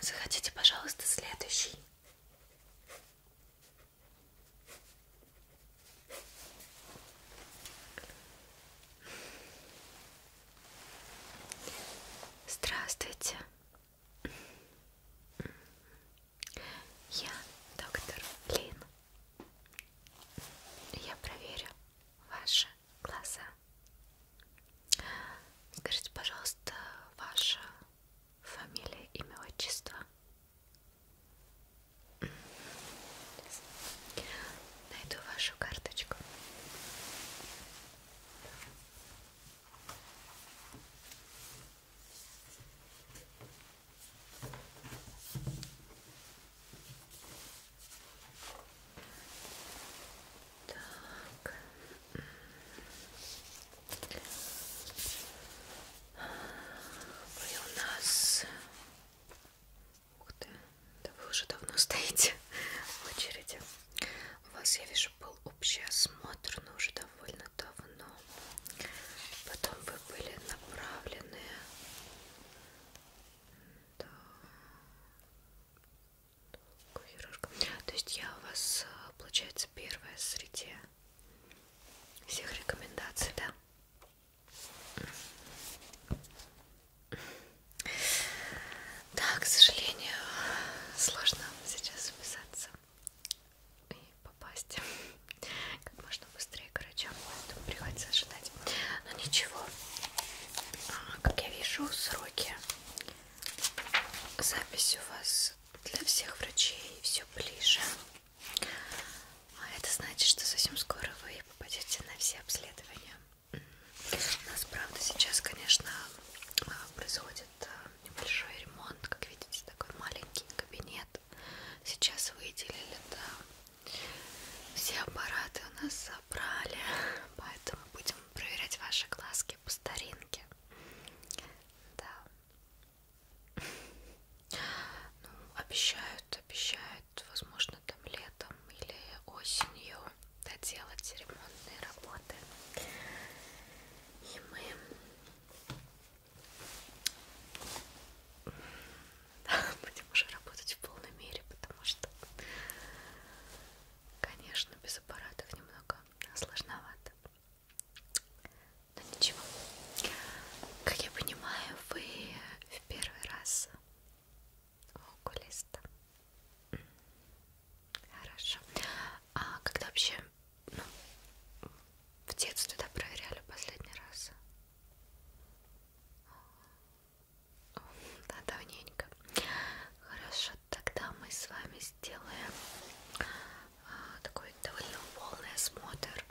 Захотите, пожалуйста, следующий. Здравствуйте. Я доктор Лин. Я проверю ваши глаза. Скажите, пожалуйста, ваша фамилия, имя, отчество. Найду вашу карточку. Так. Вы у нас... Ух ты, да вы уже давно стоите в очереди. У вас, я вижу, был общий осмотр, но уже довольно давно. Потом вы были направлены... Да. То есть я у вас, э, получается, первая среди всех рекомендаций, да? Да, к сожалению, сложно сейчас записаться и попасть как можно быстрее к врачам, поэтому приходится ожидать. Но ничего, а, как я вижу, сроки запись у вас для всех врачей все ближе. А это значит, что совсем скоро вы попадете на все обследования. У нас, правда, сейчас, конечно, а, происходит а, небольшой ремонт. Как видите, такой маленький кабинет. Сейчас выделили, да. Все аппараты у нас забрали, поэтому будем проверять ваши глазки девушки по старинке. Да. Ну, обещают, обещают, возможно, там летом или осенью доделать ремонтные работы. И мы да, будем уже работать в полной мере, потому что, конечно, без аппаратов немного сложновато. Но ничего. Как я понимаю, вы в первый раз у окулиста. Хорошо. А когда вообще, ну, в детстве да, проверяли последний раз? Да, давненько. Хорошо может тогда мы с вами сделаем а, такой довольно полный осмотр.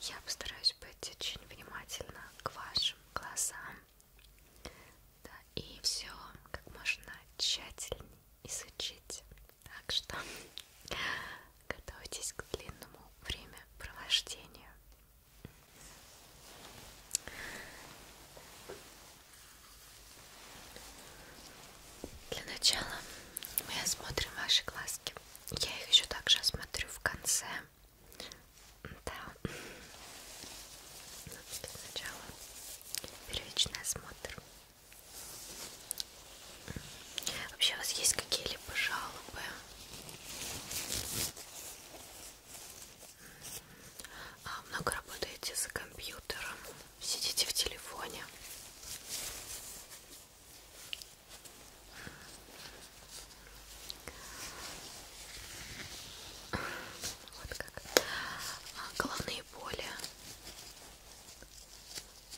Я постараюсь быть очень внимательна к вашим глазам. Да, и все как можно тщательнее изучить. Так что готовьтесь к длинному времяпровождению. Для начала мы осмотрим ваши глазки. Я их еще также осмотрю в конце. Да. Ну, для начала первичный осмотр. Вообще у вас есть какие-либо жалобы? а много работаете за компьютером, сидите в телефоне. Вот как. А, головные боли,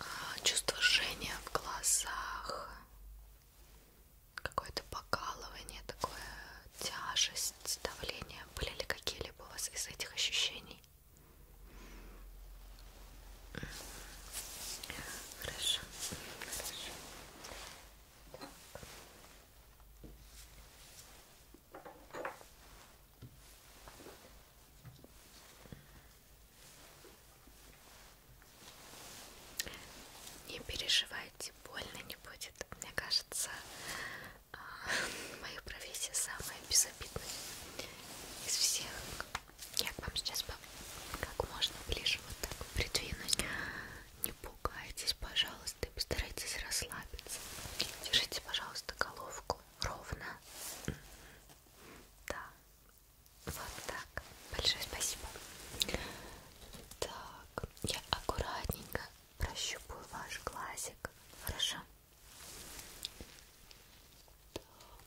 а, чувство жжения в глазах, какое-то покалывание такое тяжесть, давление? Были ли какие-либо у вас из этих ощущений? Хорошо, хорошо. Не переживайте, больно не будет. Мне кажется, а, моих профессий самая безобидная из всех. Я к вам сейчас как можно ближе вот так придвинуть. Не пугайтесь, пожалуйста, и постарайтесь расслабиться. Держите, пожалуйста, головку ровно. Да. Вот так. Большое спасибо. Так, я аккуратненько прощупаю ваш глазик. Хорошо? Так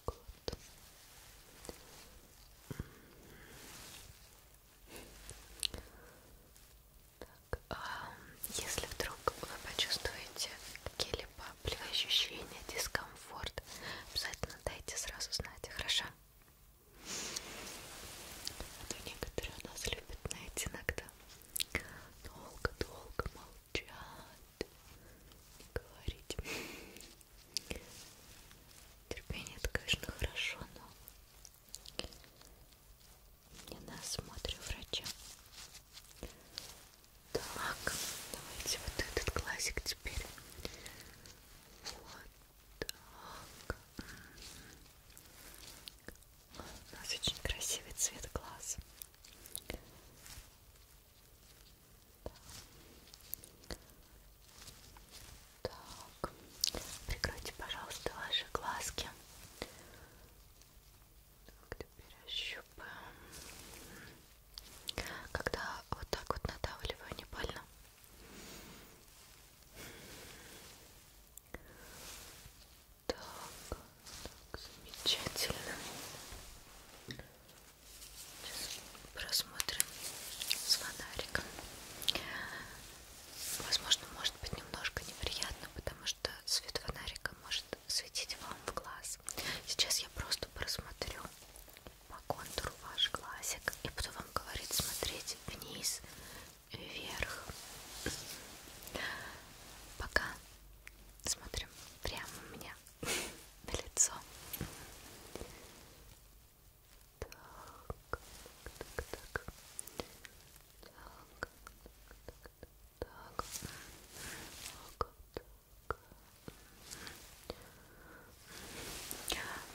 вот. Так, а если вдруг вы почувствуете какие-либо болевые ощущения, дискомфорт, обязательно дайте сразу знать, хорошо? А то некоторые у нас любят, знаете, иногда долго-долго молчат, не говорить. Терпение это, конечно, хорошо, но не насмотрю врача. Так, давайте вот этот классик теперь. Вот так. У нас очень красивый цвет глаз. Так, прикройте, пожалуйста, ваши глазки. Так, теперь ощупаем. Когда вот так вот надавливаю, не больно? Так, так, замечательно. Сейчас просмотрим с фонариком. Возможно, может быть немножко неприятно, потому что свет фонарика может светить вам в глаз. Сейчас я просто просмотрю по контуру ваш глазик и буду вам говорить смотреть вниз, вверх. Пока Смотрим прямо мне на лицо. Так, так, так, так, так, так.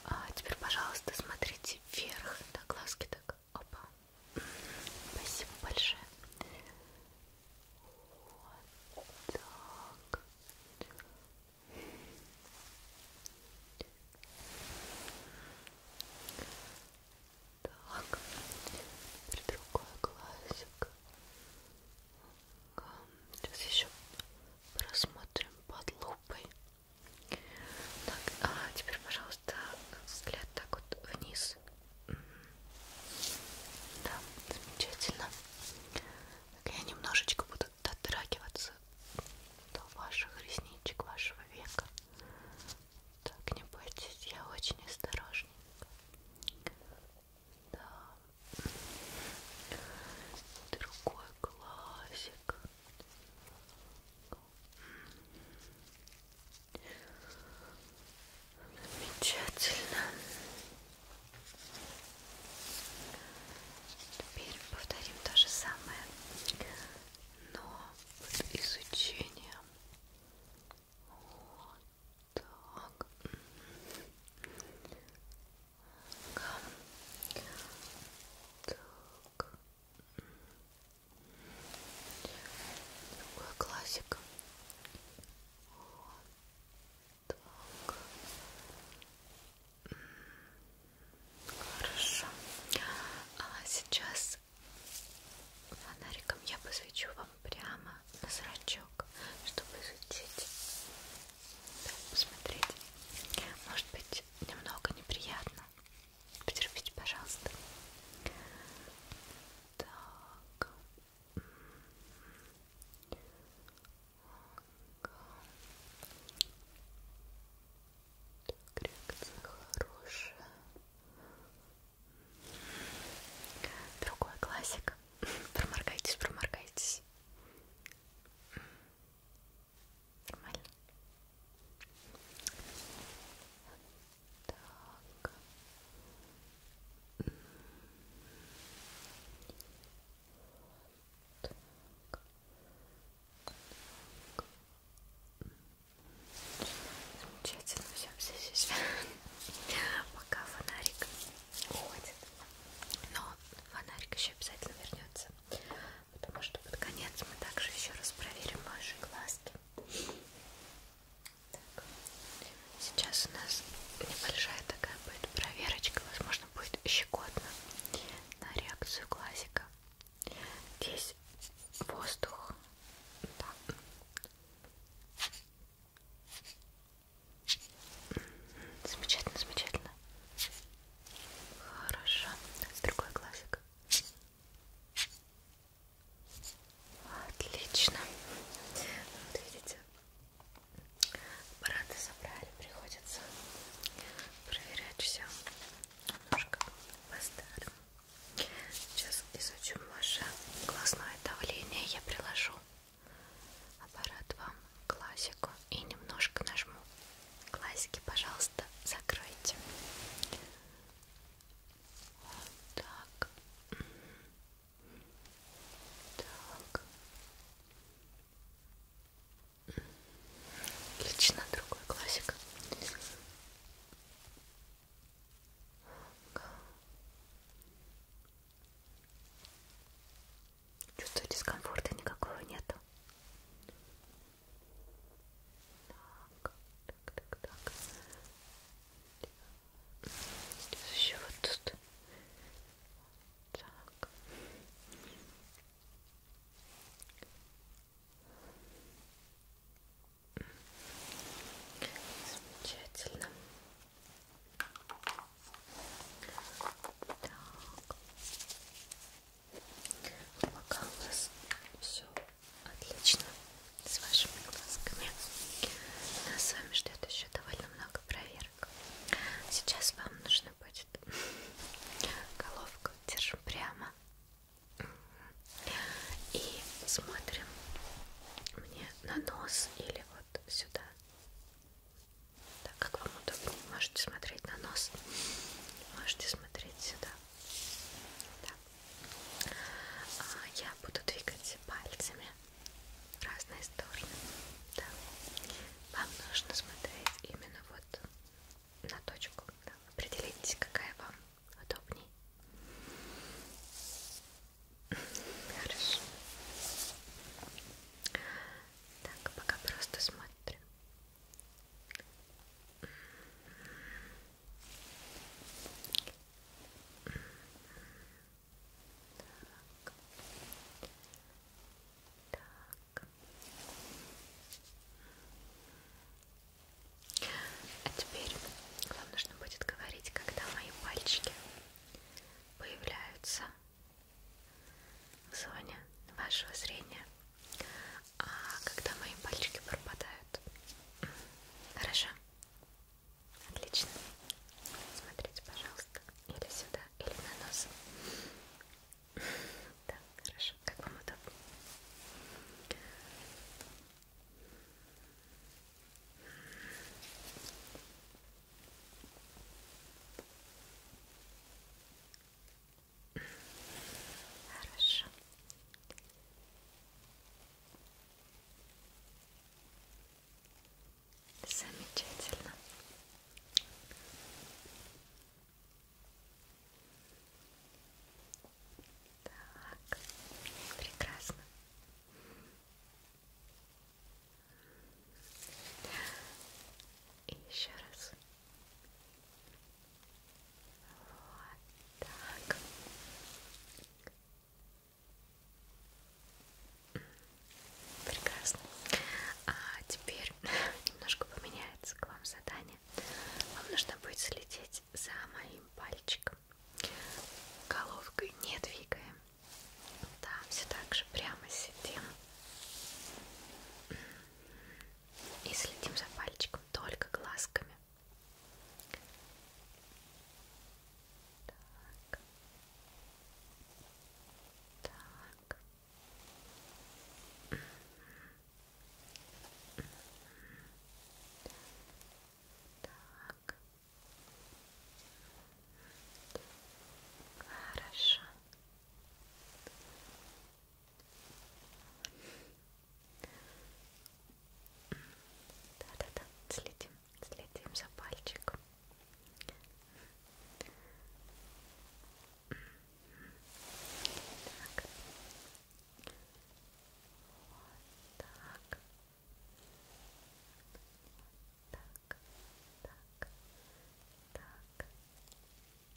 А теперь, пожалуйста, смотрите вверх, да, глазки так, опа, Спасибо большое. Вот так. Так, теперь другой глазик. Сейчас еще просмотрим под лупой. Так, а теперь, пожалуйста, взгляд так вот вниз. Да, замечательно. Так, я немножечко буду дотрагиваться до ваших ресничек, вашего века. Так, не бойтесь, я очень осторожненько. Да. Другой глазик. Замечательно. Теперь повторим то же самое, но под изучением. Вот так. Так. Другая классика. Вот так. Хорошо. А сейчас фонариком я посвечу вам прямо на зрачок, чтобы изучить. Да, посмотреть. Может быть, немного неприятно. Потерпите, пожалуйста. Так. Так, реакция хорошая. Другой классик. Проморгайтесь, проморгайтесь. Нормально. Так. Так. Так. Замечательно, все, все, все. Пока фонарик уходит. Но фонарик еще обязательно вернется. Потому что под конец мы также еще раз проверим ваши глазки. Так. Сейчас у нас небольшая такая будет проверочка, возможно будет щекотно на реакцию глазика. Здесь воздух. Да. Замечательно, замечательно. Хорошо. Другой глазик. Отлично. Вот видите, аппараты собрали, приходится проверять все немножко по-старому. Сейчас изучим ваше глазное давление, я приложу аппарат вам классику и немножко нажму классики, пожалуйста, закройте. Вот так. Так. Отлично, другой классик. Чувствую дискомфорта никакого нету. Так, так, так, так. Сейчас еще вот тут. Так. Замечательно. Так. Пока у нас все отлично с вашими глазками. Нас с вами ждет еще довольно много проверок. Сейчас вам нужно будет головку держим прямо и смотрим мне на нос или вот сюда. Так как вам удобно, можете смотреть на нос, можете смотреть сюда. Да. А я буду двигать пальцами в разные стороны. Да. Вам нужно смотреть именно вот на точку. Да. Определитесь, какая вам удобней. Хорошо. Так, пока просто смотрим. Так, так. Так. А теперь вам нужно будет говорить, когда мои пальчики появляются в зоне вашего зрения, а когда мои пальчики пропадают. Хорошо? Отлично. Смотрите, пожалуйста, или сюда, или на нос. Да, хорошо, как вам удобно. Хорошо. Замечательно. Так, прекрасно. И еще раз. Вот так. Прекрасно. А теперь немножко поменяется к вам задание. Вам нужно будет следить за моим пальчиком. Головкой не двигаем. Да, все так же прямо сидим. И следим за пальчиком только глазками. Так. Так. Так. Хорошо. Да-да-да, следим. Следим за пальчиком. Так. Вот так. Так, так, так,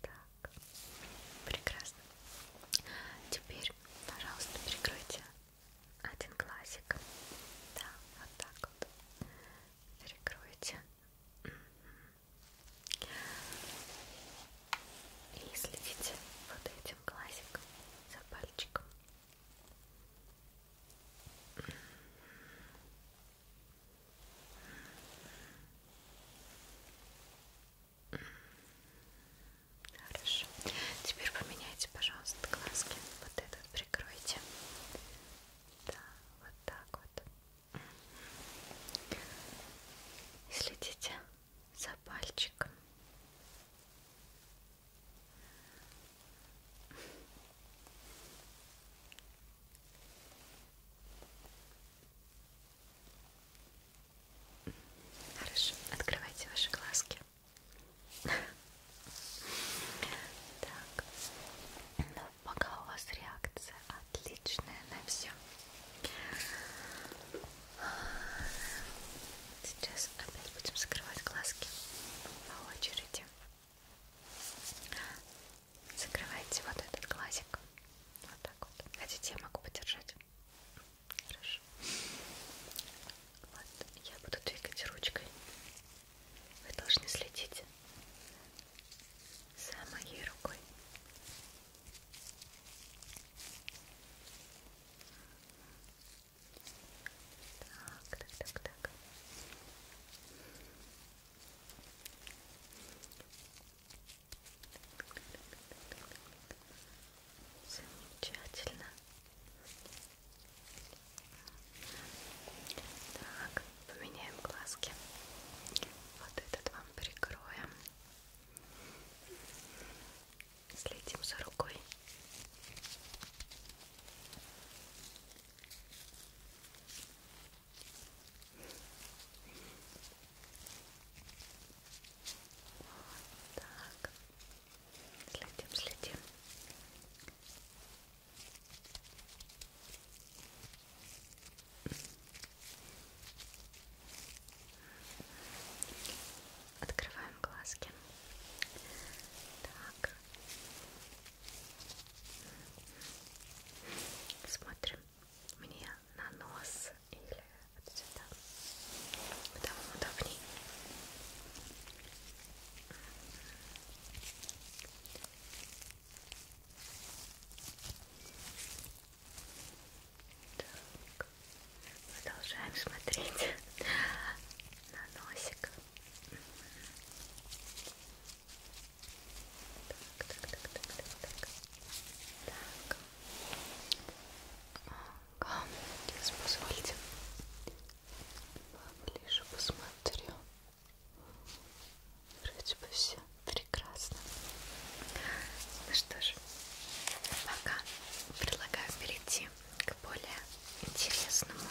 так. Прекрасно. Теперь, пожалуйста, прикройте один глазик. Да, вот так вот. Перекройте. И следите вот этим глазиком за пальчиком. Хорошо. Теперь поменяйте, пожалуйста, глазки. Вот этот просто прикройте. Да, вот так вот. И следите за пальчиком. Хорошо, открывайте ваши глазки. Так, ну пока у вас реакция отличная на все. Сейчас опять будем закрывать глазки по очереди. Закрывайте вот этот глазик. Вот так вот. Хотите, я могу подержать? Хорошо. Вот, я буду двигать ручкой. Вы должны следить за моей рукой. Так, так, так, так. Замечательно. Так, поменяем глазки. Вот этот вам прикроем. Следим за рукой. Вот так. Следим, следим. Открываем глазки. Так. Смотрим мне на нос или вот сюда. Куда вам удобней? Так. Продолжаем смотреть на носик. Так, так, так, так, так, так. так. О, позвольте поближе посмотрю. Вроде бы все прекрасно. Ну что ж, пока предлагаю перейти к более интересному.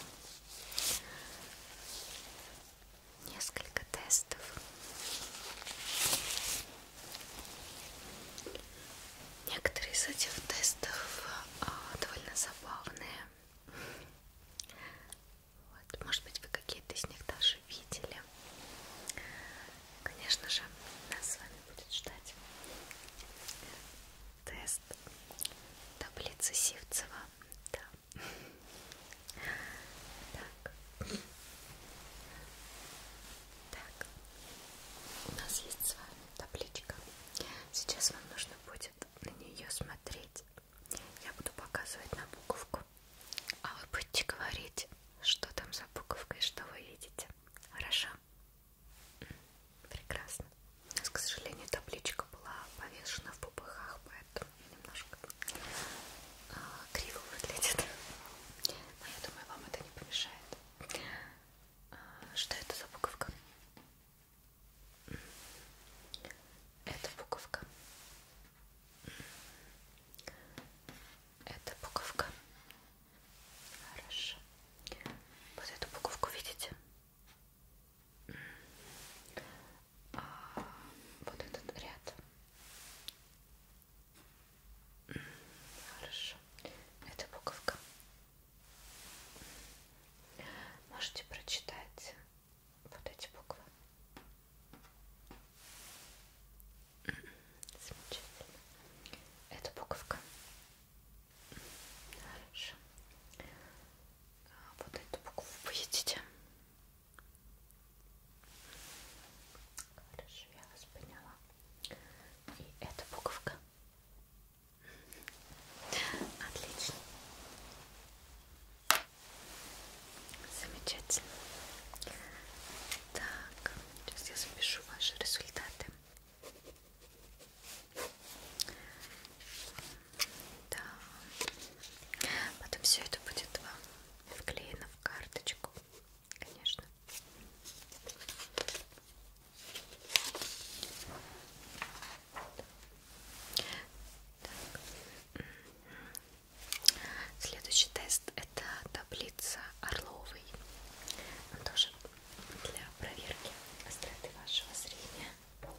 Несколько тестов. Некоторые из этих тестов а, довольно забавные. Вот. Может быть, вы какие-то из них даже видели. Конечно же, нас с вами будет ждать тест таблицы Сивцева. Да. Так. Так. У нас есть с вами табличка. Сейчас вам нужно будет будет на нее смотреть, я буду показывать на буковку, а вы будете говорить, что там за буковкой, что вы видите. Хорошо? Прекрасно. У нас, к сожалению, табличка была повешена в пупыхах, поэтому немножко э, криво выглядит. Но я думаю, вам это не помешает. А, что это за буковка? Это буковка. Это буковка. Хорошо. Вот эту буковку видите? А вот этот ряд. Хорошо. Это буковка. Можете прочитать вот эти буквы. Замечательно. Это буковка. Хорошо. А, вот эту букву вы видите? Хорошо, я вас поняла. И эта буковка. Отлично. Замечательно. Так, сейчас я запишу ваши результаты. Да. Потом все это будет вам вклеено в карточку, конечно. Так. Следующий тест это таблица Орловой. Он тоже для проверки остроты вашего зрения. Так.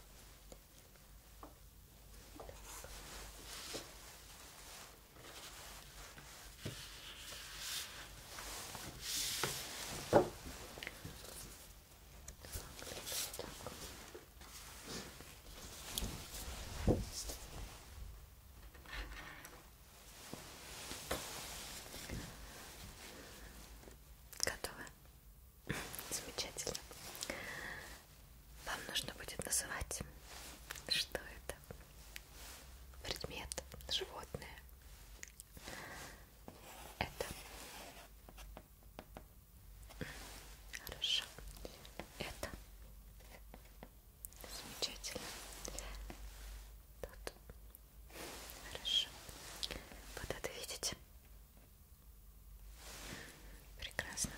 Так. Готовы? Замечательно. Вам нужно будет называть, что это? Предмет, животное. Это Хорошо. Это замечательно. Тут. Хорошо. Вот это видите? Прекрасно.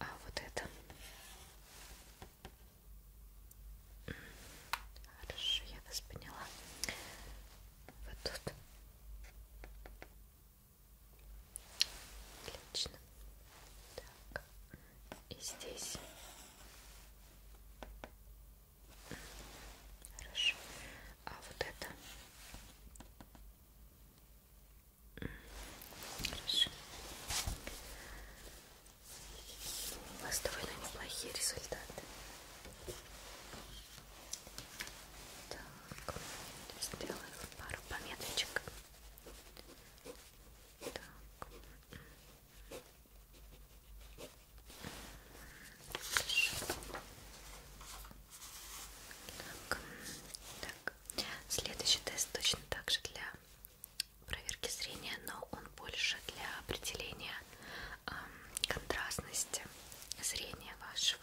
А вот это. Хорошо, я вас поняла. Вот тут. Отлично. Так, и здесь. Хорошо. А вот это. Хорошо. У вас довольно неплохие результаты. Так, сделаем пару пометочек. Так. Так. так, следующий тест точно так же для проверки зрения, но он больше для определения э, контрастности зрения вашего.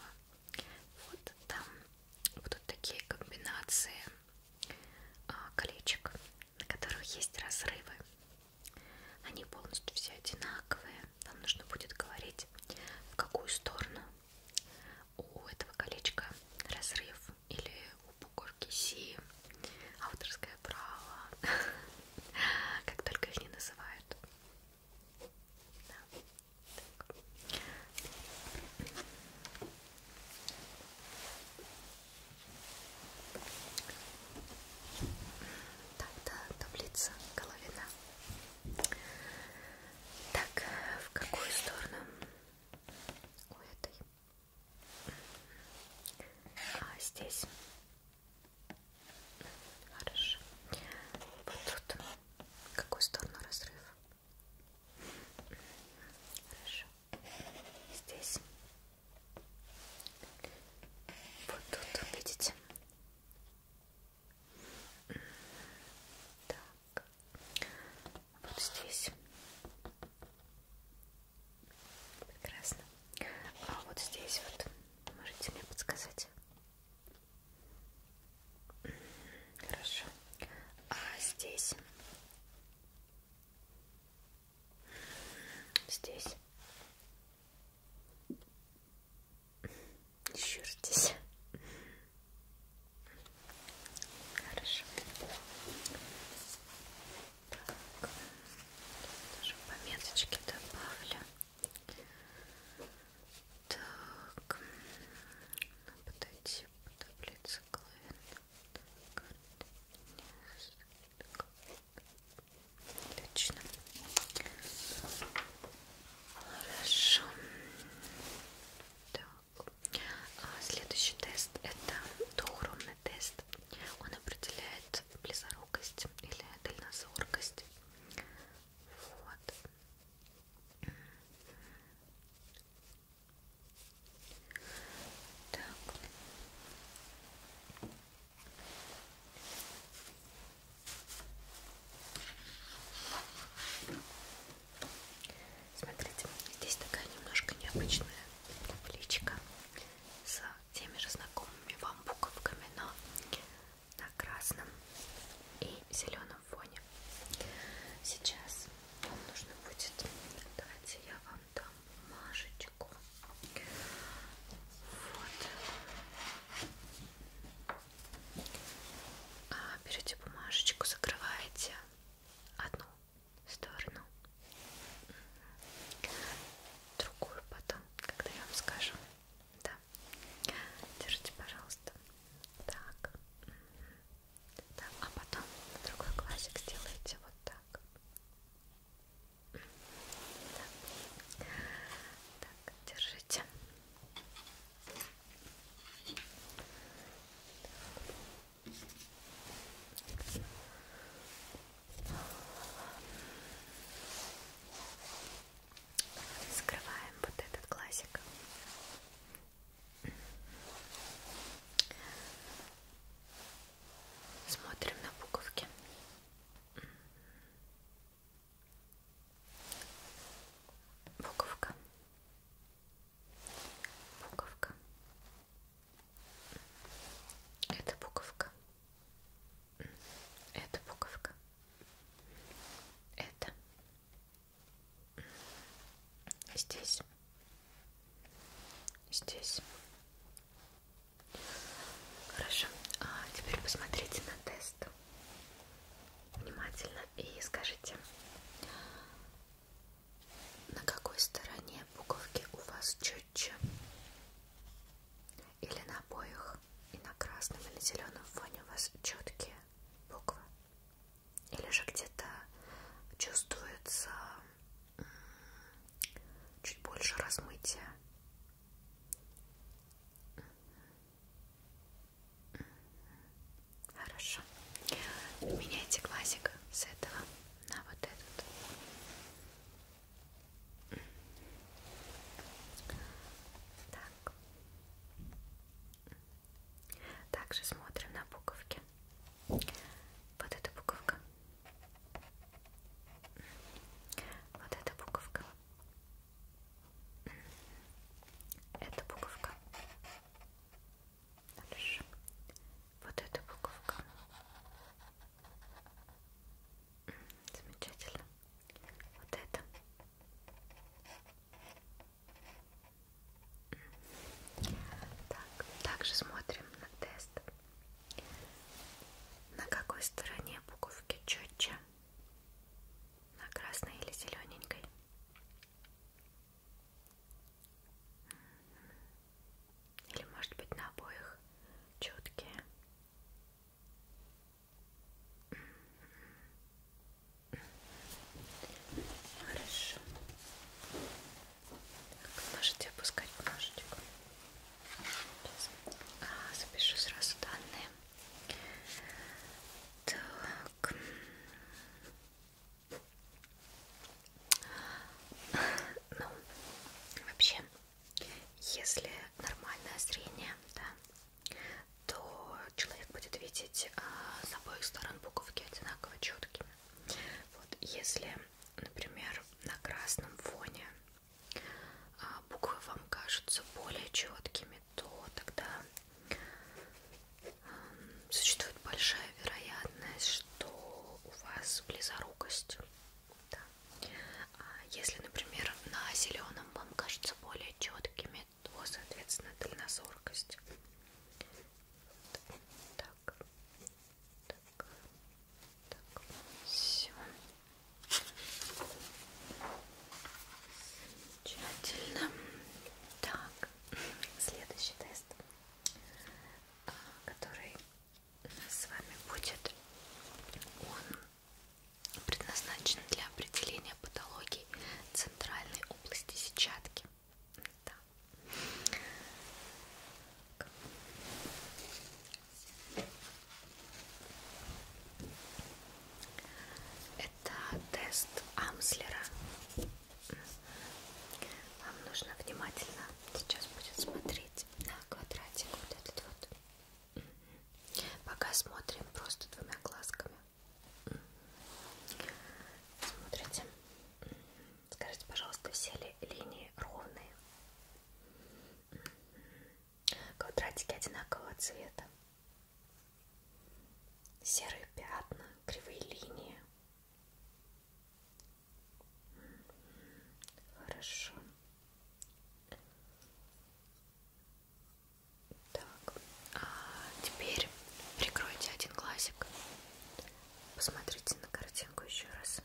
Вот там будут такие комбинации а, колечек, на которых есть разрывы. Они полностью все одинаковые. Вам нужно будет говорить, в какую сторону у этого колечка разрыв или у бугорки Си, авторское право, как только их не называют. Да. Так. Так, да, таблица Головина. Так, в какую сторону? У этой. А здесь. Хорошо. Вот тут. В какую сторону разрыв? Хорошо. Здесь. Вот тут, видите? Так. Вот здесь. Прекрасно. А вот здесь вот можете мне подсказать? Хорошо. А здесь? Здесь? Еще здесь. Хорошо. Так. Тоже пометочки добавлю. Так, подойти по таблице Отлично. Хорошо. Так. А следующий тест это доухромный тест. Он определяет близорукость или дальнозоркость. Вот. Так. Смотрите, здесь такая немножко необычная табличка с теми же знакомыми вам буковками, но на красном и зеленом фоне. Сейчас вам нужно будет, давайте я вам дам мажечку. Вот. А, берете бумажечку, закрываете одну сторону, другую потом, когда я вам скажу. Да. Держите, пожалуйста. Так. Да. А потом на другой глазик сделайте вот так. Да. Так, держите. Так. Скрываем вот этот глазик. Смотрим на буковки. Буковка. Буковка. Это буковка. Это буковка. Это здесь, здесь. Хорошо. А теперь посмотрите на тест внимательно и скажите, на какой стороне буковки у вас четче? Или на обоих и на красном и на зеленом фоне у вас четкие буквы? или же где-то чувствуется чуть больше размытия. Хорошо. Меняйте глазик с этого на вот этот. Так. Также смотрим на буковки. Вот эта буковка. Вот эта буковка. Эта буковка. Дальше. Вот эта буковка. Замечательно. Вот это. Так, также смотрим на тест. На какой стороне буковки четче? На красной или зелененькой? Или может быть на обоих четкие? Хорошо. Так, можете опускать ножичку. А, запишу сразу данные. Так. Ну, вообще, если нормальное зрение, да, то человек будет видеть а, с обоих сторон буковки одинаково четкими. Вот если, например, на красном фоне а, буквы вам кажутся более четкими, то тогда а, существует большая вероятность, что у вас близорукость. Да. А если, например, на зеленом вам кажутся более четкими, то, соответственно, дальнозоркость. Так, так, так, все. Замечательно. Так, следующий тест, а, который у нас с вами будет, он предназначен для определения патологий центральной области сетчатки. Да. Это тест Амслера. Вам нужно внимательно сейчас будет смотреть на квадратик вот этот вот. Пока смотрим просто двумя глазками. Смотрите. Скажите, пожалуйста, все ли линии ровные? Квадратики одинакового цвета. Серые пятна, кривые линии. Хорошо. Так, а теперь прикройте один глазик. Посмотрите на картинку еще раз.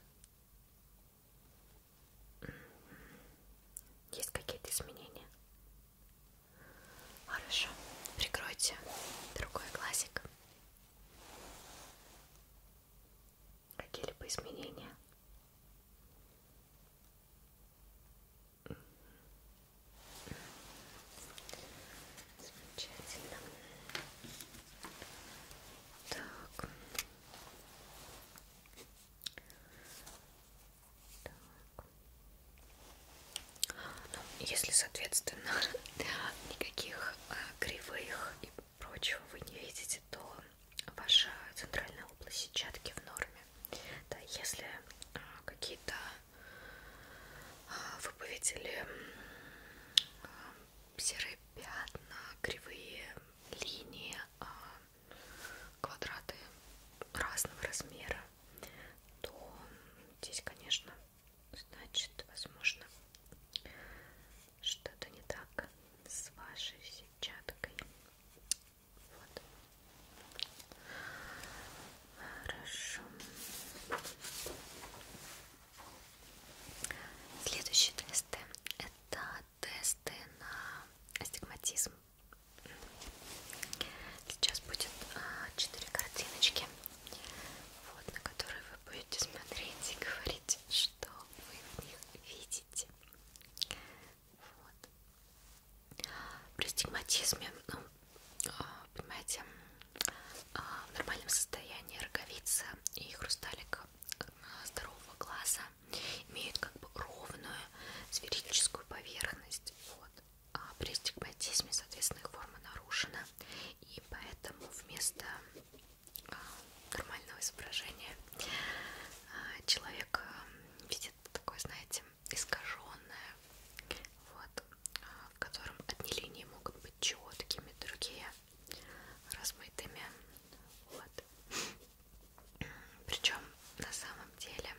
Есть какие-то изменения? Хорошо. Прикройте другой глазик. Какие-либо изменения? Замечательно. Так. так. Ну, если, соответственно, никаких э, кривых и прочего вы не видите, то ваша центральная область сетчатки в норме. Да, если э, какие-то вы увидели серые пятна, кривые линии, а, квадраты разного размера, то здесь, конечно, значит, возможно, что-то не так с вашей сетчаткой. Вот. Хорошо. Следующие тесты это тесты на астигматизм. Сейчас будет а, четыре картиночки, вот, на которые вы будете смотреть и говорить, что вы в них видите. Вот. При стигматизме ну, понимаете, а, в нормальном состоянии роговица и хрусталик а, здорового глаза имеют как бы ровную сферическую поверхность. Вот. А при стигматизме, соответственно, их форма нарушена, и поэтому вместо а, нормального изображения человек видит такое, знаете, есть искаженное, вот, в котором одни линии могут быть четкими, другие размытыми. Вот. Причем на самом деле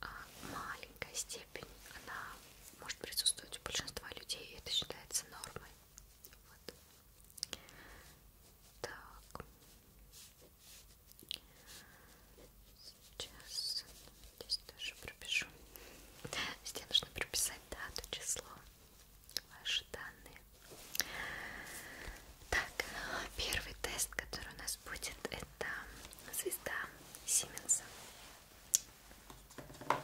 а, маленькая степень, она может присутствовать у большинства людей, и это считается нормой. Вот. Так. Сейчас здесь тоже пропишу. Здесь нужно прописать дату, число, ваши данные. Так, первый тест, который у нас будет, это звезда Сименса. Она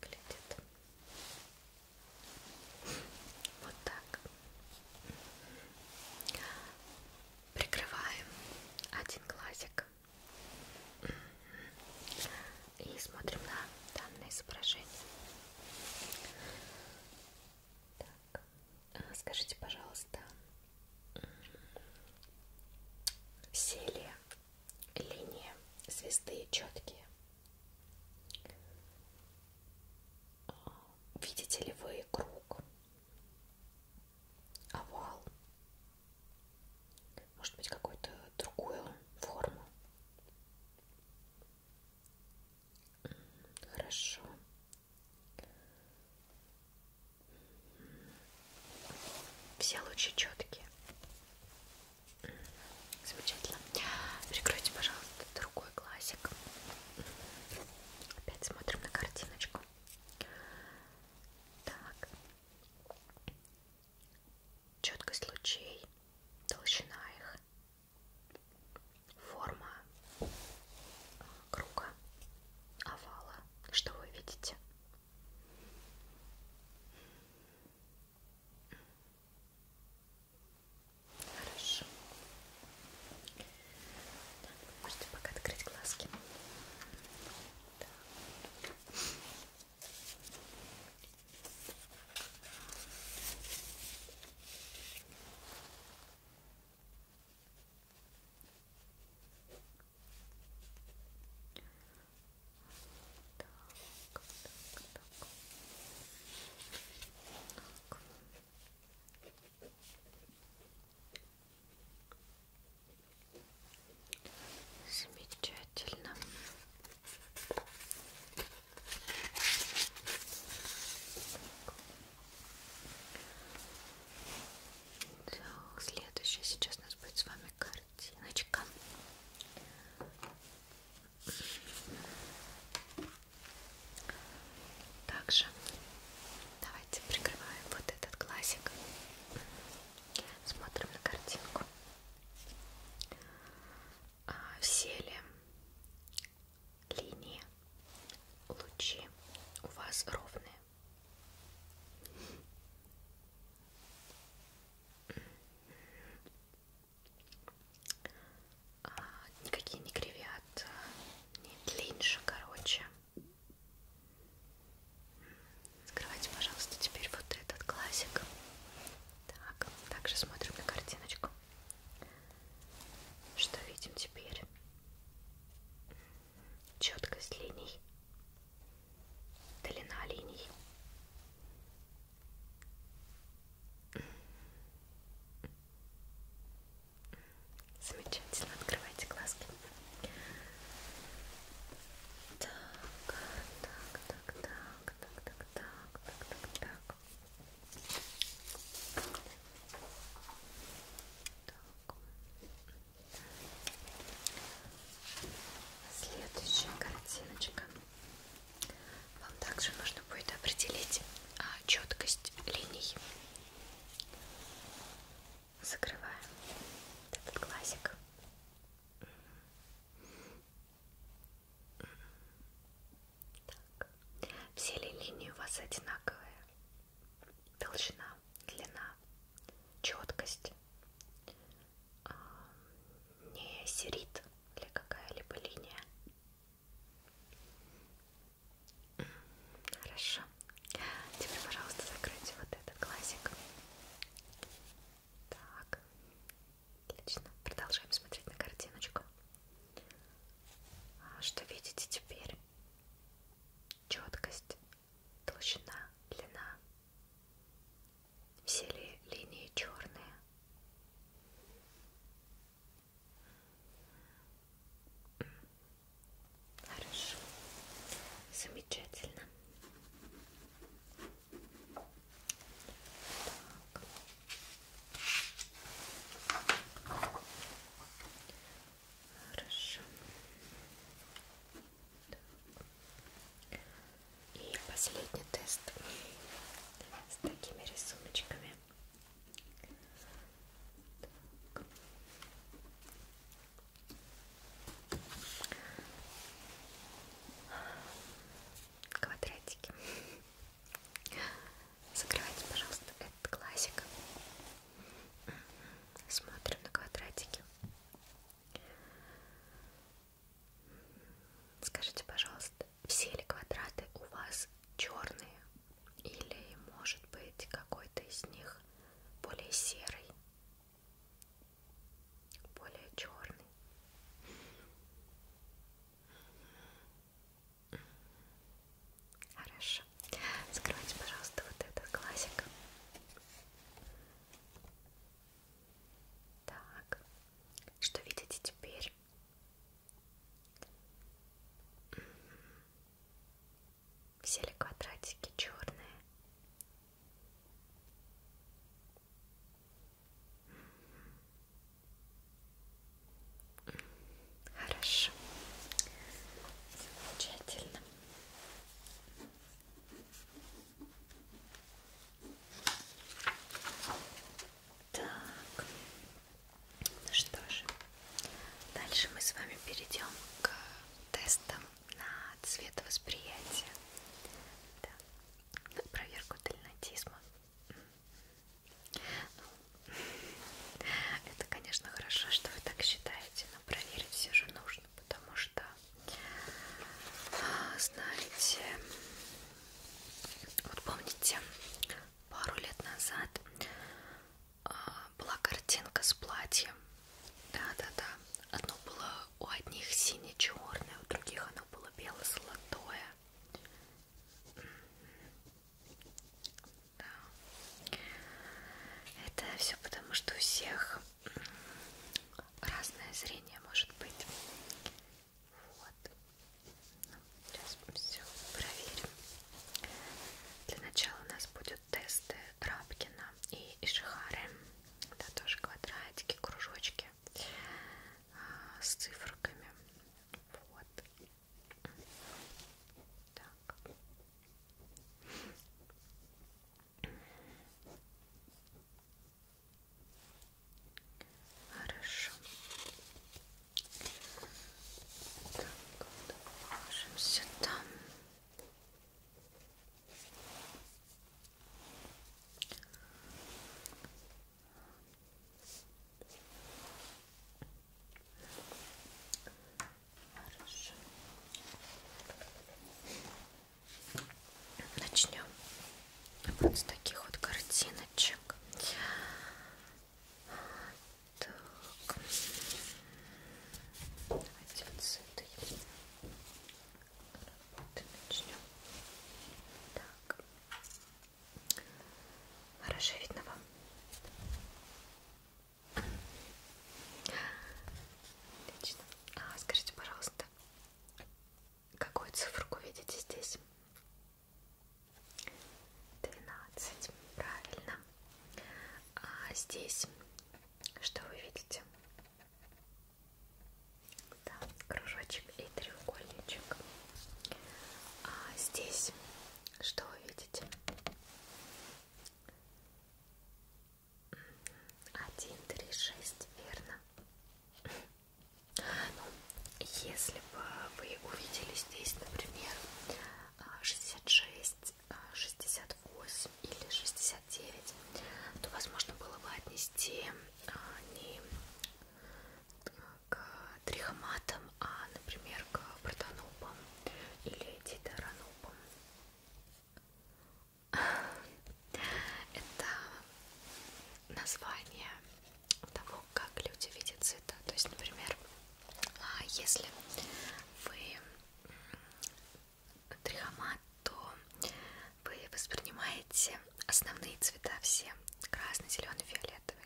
выглядит вот так. Прикрываем один глазик и смотрим на данное изображение. Так. А скажите, пожалуйста, все ли линии звезды четкие? видите ли вы круг, овал, может быть какую-то другую форму? Хорошо. Все лучи четкие. Замечательно. Прикройте, пожалуйста, другой классик. Опять смотрим на картиночку. Так. Четкость лучей, толщина их, форма круга, овала. Что вы видите? Хорошо. Да, можете пока открыть глазки. Да. Так, так, так. Так. Замечательно. Так, следующая сейчас у нас будет с вами картиночка. Так. Также давайте прикрываем вот этот глазик. Смотрим на картинку. В а, селе линии лучи у вас ровные. А, никакие не кривят, а, не длиннее, короче. Скрывайте, пожалуйста, теперь вот этот классик. Так, также смотрим на картиночку. Что видим теперь? Четкость линий, длина линий. Замечательно, открывайте глазки. Так, так, так, так, так, так, так, так, так, так. Так. Следующая картиночка. Вам также нужно будет определить а, четкость линий закрываем этот глазик. Так. Все ли линии у вас одинаковые? Толщина, длина, четкость, а, не серит ли какая-либо линия? Хорошо. Теперь, пожалуйста, закройте вот этот глазик. Так. Отлично. Продолжаем смотреть на картиночку. А, что видите теперь? Четкость, толщина, длина. Все ли линии черные? Хорошо. Замечательно. Так. Хорошо. Так. И последний тест с такими рисуночками. Так. Квадратики. Закрывайте, пожалуйста, этот классик. Смотрим на квадратики. Скажите, пожалуйста, все ли квадраты у вас черные? Или, может быть, какой-то из них более серый, более черный. Хорошо. Закрывайте, пожалуйста, вот этот глазик. Так, что видите теперь? Все ли квадратики черные? Хорошо. Замечательно. Так. Ну что же, дальше мы с вами перейдем к тестам на цвет восприятия. Да. На проверку дальнотизма. Ну, это, конечно, хорошо, что вы так считаете, но проверить все же нужно, потому что, а, знаете, вот помните, пару лет назад а, была картинка с платьем. Да-да-да. Одно было у одних сине-черное, у других оно было бело-золотое. Да. Это все потому, что у всех разное зрение может быть. Вот. Ну, сейчас все проверим. Для начала у нас будут тесты Рабкина и Ишихары. Это тоже квадратики, кружочки а, с цифрками. Вот. Так. Хорошо. Так, вот положим сюда. Хорошо. Начнем вот с таких вот картиночек. Так. Давайте вот с этой работы начнем. Так. Хорошо видно вам? Отлично. А, скажите, пожалуйста, какую цифру видите здесь? 12, правильно. А здесь что вы видите? Да, кружочек и треугольничек. А здесь что вы видите? Один, три, шесть, верно. Ну, если бы вы увидели здесь, например, 66 а, 68 или 69, то возможно было бы отнести а, не к трихоматам, а, например, к протонопам или дитеронопам. Это название того, как люди видят цвета. То есть, например, а если вы трихомат, то вы воспринимаете основные цвета все красный, зеленый, фиолетовый.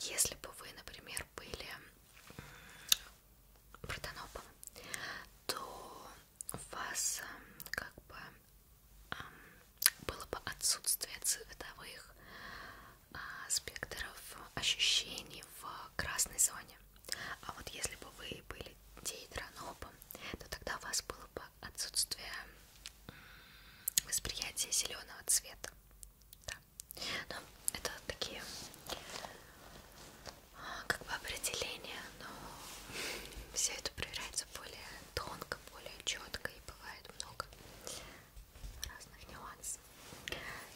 Если бы вы, например, были протонопом, то у вас эм, как бы эм, было бы отсутствие цветовых а, спектров ощущений в красной зоне. А вот если бы вы были дейтронопом, то тогда у вас было бы отсутствие восприятия зеленого цвета. Да. Но это такие а, как бы определения, но все это проверяется более тонко, более четко и бывает много разных нюансов.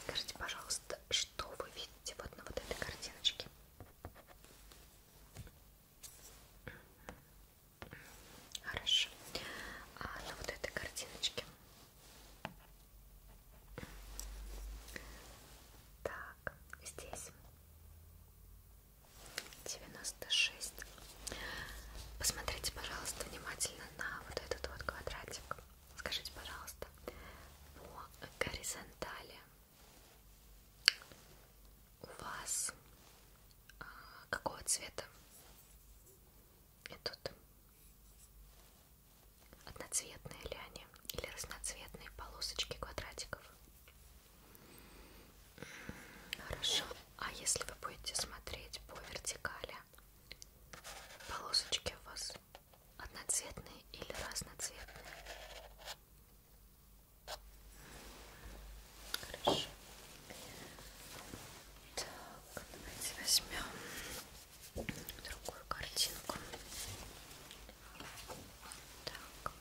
Скажите, пожалуйста, что вы видите вот на вот этой картиночке? Хорошо. А на вот этой картиночке? Так, здесь 96. Посмотрите, пожалуйста, внимательно на вот этот вот квадратик. Скажите, пожалуйста, по горизонтали у вас а, какого цвета? И тут одноцветные ли они или разноцветные полосочки квадратиков? Хорошо. А если вы будете смотреть по вертикали, полосочки у вас одноцветные или разноцветные? Хорошо. Так, давайте возьмем другую картинку. Так.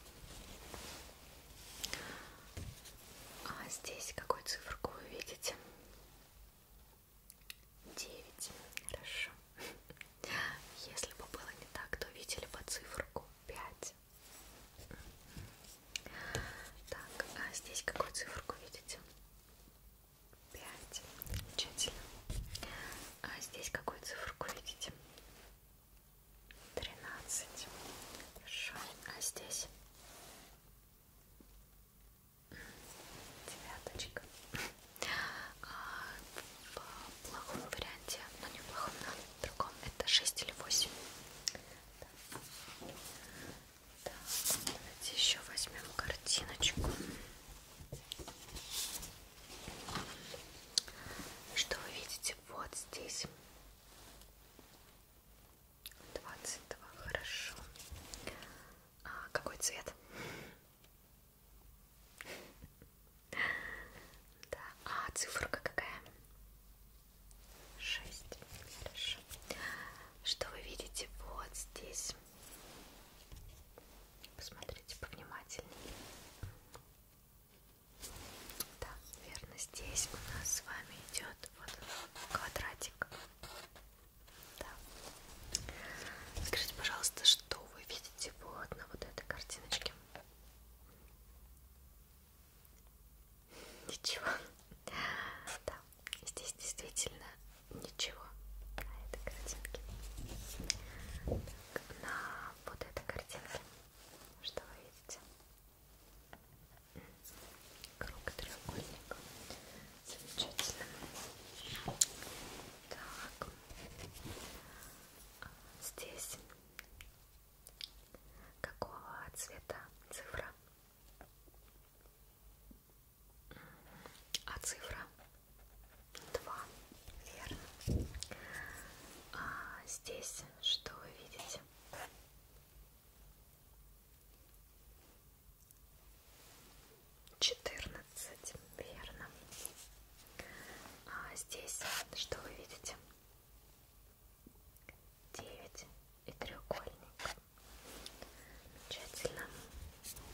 А здесь какую циферку вы видите? 9. Хорошо. Если бы было не так, то видели бы циферку 5. Так, а здесь какую циферку видите? 5. Замечательно. А здесь какую циферку видите? 13. Хорошо. А здесь? девяточка а, в плохом варианте, но не в плохом, на другом это 6 или 8 так. Так, давайте еще возьмем картиночку что вы видите вот здесь 22, хорошо а какой цвет? Да, а циферка какая? 6. Хорошо. Что вы видите вот здесь? Посмотрите повнимательнее. Да, верно. Здесь у нас с вами идет вот квадратик. Да. Скажите, пожалуйста, что вы видите вот на вот этой картиночке? Ничего. Да, здесь действительно ничего на этой картинке. Так, на вот этой картинке что вы видите? Круг треугольник. Замечательно. Так. Здесь какого цвета цифра? А цифра 2, верно. А здесь что вы видите? 14, верно. А здесь что вы видите? 9 и треугольник. Замечательно.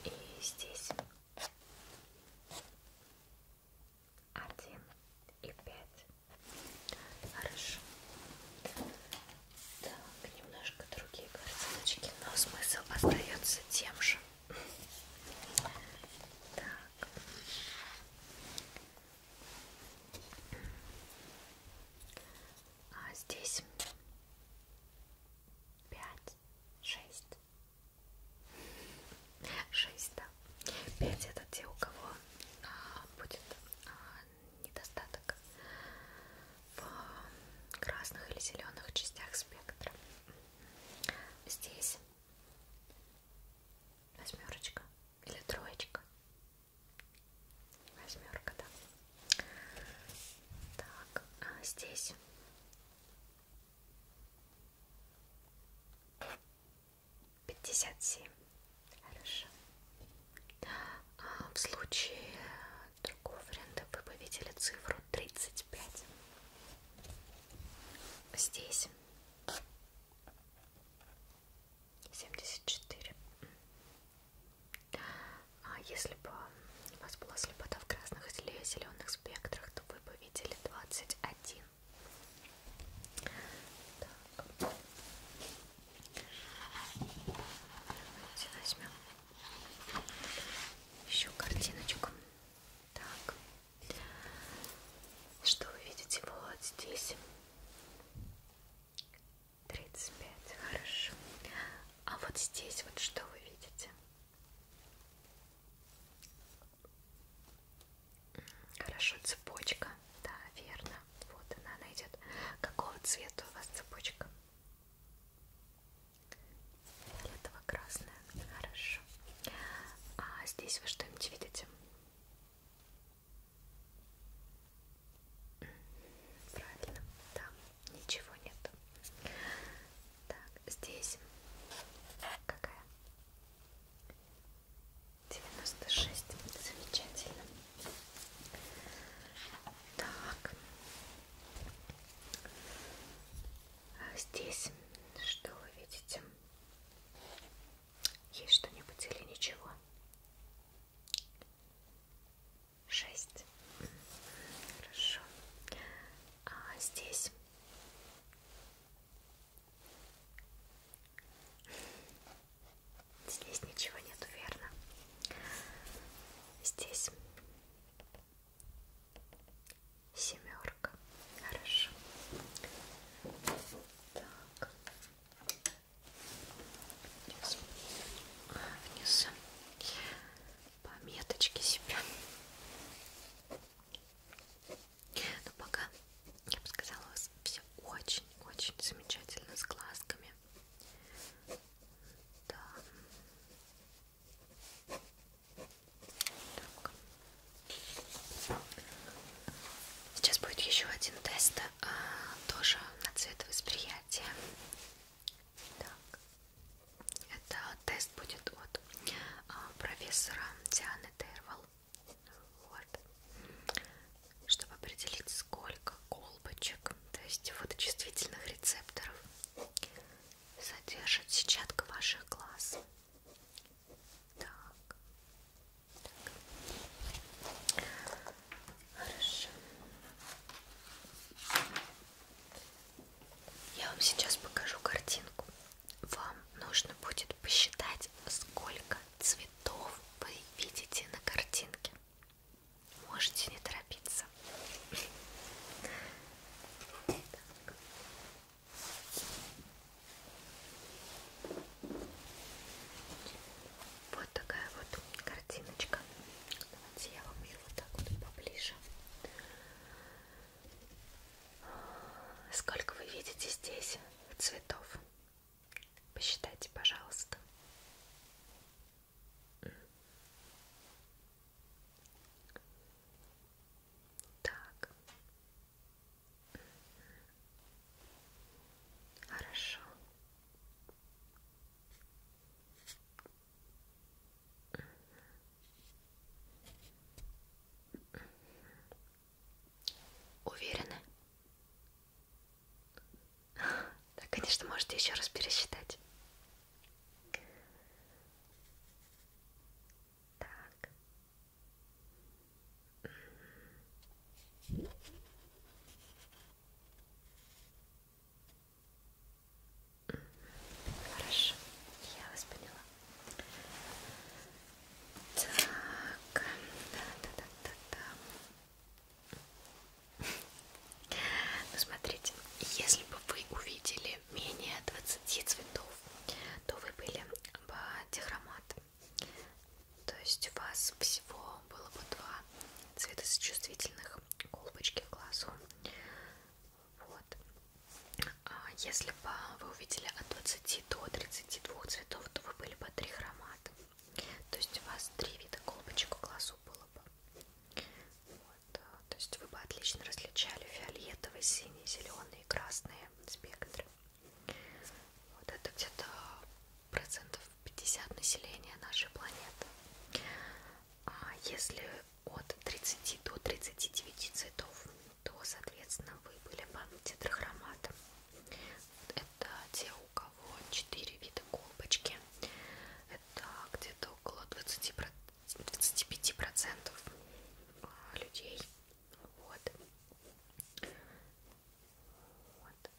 И здесь 1 и 5. Хорошо. Так, немножко другие картиночки, но смысл остается тем же. Так. А здесь пять, шесть, шесть, да. Пять это те, у кого а, будет а, недостаток в а, красных или зеленых частях спектра. Здесь восьмерочка или троечка. Восьмерка, да. Так, а здесь пятьдесят семь. Хорошо. А в случае другого варианта вы бы видели цифру 35 здесь 74 а если бы у вас была слепота в красных или зеленых спектрах, то вы бы видели 21 так. Давайте возьмем еще картиночку так, что вы видите вот здесь? 35, хорошо. А вот здесь вот что вы видите? Хорошо, цепочка, да, верно. Вот она, она идет. Какого цвета у вас цепочка? Фиолетово красное. Хорошо. А здесь вы что-нибудь видите? Правильно, да, ничего нет. Так, здесь какая? 96. Замечательно. Так. А здесь что вы видите? Есть что-нибудь или ничего? Шесть. Хорошо. А здесь? Здесь ничего нету, верно? Здесь Семерка. Хорошо. Так. Сейчас вниз пометочки себе. Но ну, пока, я бы сказала, у вас все очень-очень замечательно с глазками. Да. Так. Сейчас будет еще один тест, а, тоже на цвет восприятия. Так. Это тест будет от а, профессора Дианы Тервал. Вот. Чтобы определить, сколько колбочек, то есть фоточувствительных рецепторов, содержит сетчатка ваших глаз. Так. так. Хорошо. Я вам сейчас покажу картинку. Вам нужно будет посчитать, сколько цветов вы видите на картинке. Можете не торопиться. Так. Вот такая вот картиночка. Давайте я вам ее вот так вот поближе. Сколько вы видите здесь цветов? Посчитайте, пожалуйста. Так. Хорошо. Уверены? Да, конечно, можете еще раз пересчитать. Так. Угу. Хорошо, я вас поняла. Так, да, да, да, да, да. Ну смотрите, если бы вы увидели были менее 20 цветов, то вы были бы дихромат. То есть у вас всего было бы два цветосочувствительных колбочки в глазу. Вот. А если бы вы увидели от 20 до 32 цветов, то вы были бы трихромат. То есть у вас три вида колбочек в глазу было бы. Вот. То есть вы бы отлично различали фиолетовый, синий, зеленый зеленые и красные спектры. Вот это где-то процентов 50 населения нашей планеты. А если от 30 до 39 цветов, то, соответственно, вы были бы тетрахроматом. Это те, у кого 4 вида колбочки. Это где-то около 20, 25% а, людей вот. Вот.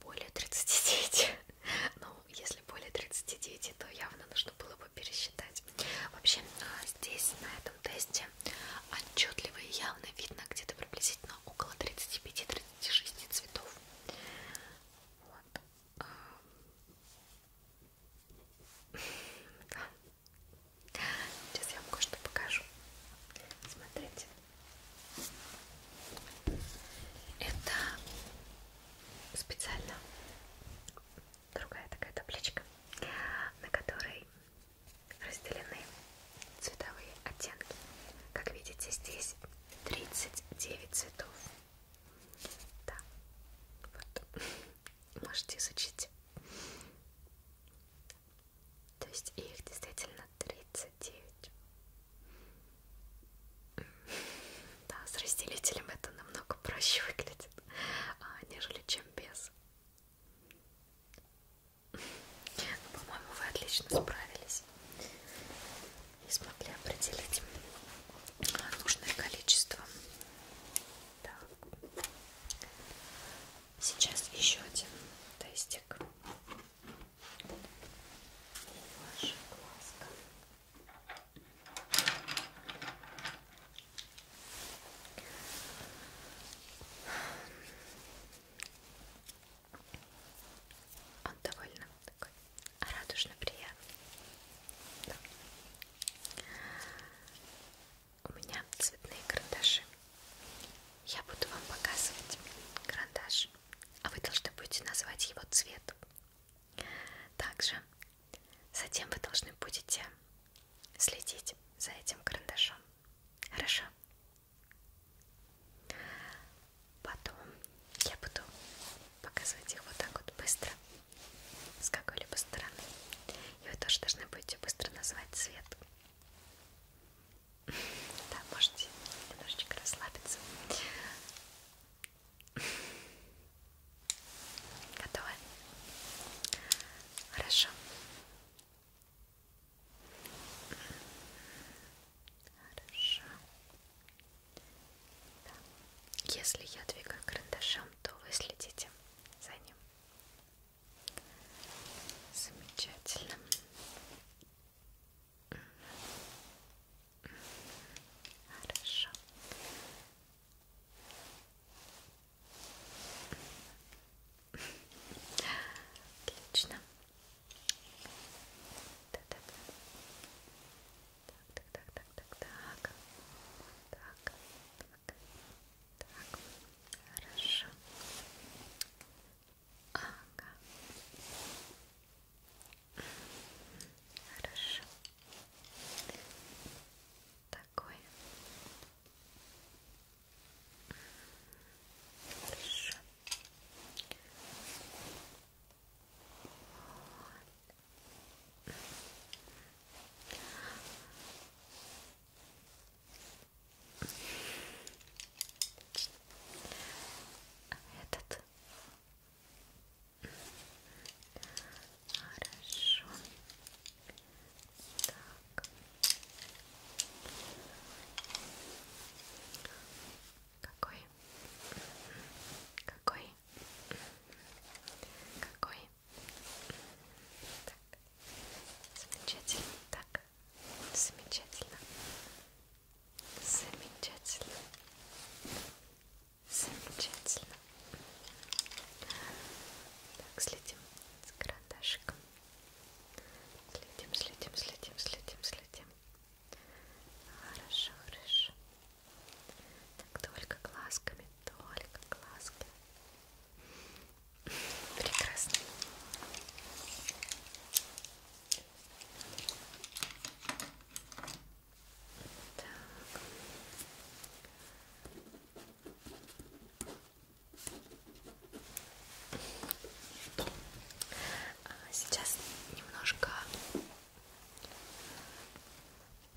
Более 39. Ну, если более 39, то явно нужно было бы пересчитать. Вообще, а, здесь, на этом тесте, отчетливо и явно видно где-то приблизительно около 35-36 цветов. Вот. Да. Сейчас я вам кое-что покажу. Смотрите. Это специально другая такая табличка, на которой разделены цветовые оттенки. Как видите, здесь 39 цветов. Да, вот можете изучить. То есть их действительно 39. Да, с разделителем это намного проще выглядит, а, нежели чем без. Ну, По-моему, вы отлично справились и смогли определить а, нужное количество так. Сейчас еще один тестик. Ваша глазка. Он довольно такой радужно приятный. Да. У меня цветные карандаши. Я буду вам показывать карандаш, а вы должны будете назвать его цвет. Также затем вы должны будете следить за этим карандашом. Хорошо? Потом я буду показывать их вот так вот быстро с какой-либо стороны. И вы тоже должны будете быстро назвать цвет. Да, можете немножечко расслабиться. Готовы? Хорошо. Хорошо. Да. Если я двигаю карандашом, то вы следите за ним. Замечательно. Хорошо. Отлично. Да -да -да. Так, так, так, так, так, так. Так, так, так. Хорошо. Ага. Хорошо. Такое. Хорошо. Вот. Этот. Хорошо. Так. Какой? Какой? Какой? Так. Замечательно. Так. Замечательно. Замечательно. Замечательно. Так, следим с карандашиком. Следим, следим, следим, следим, следим. Хорошо, хорошо. Так, только глазками, только глазки. Прекрасно. Так. А сейчас немножко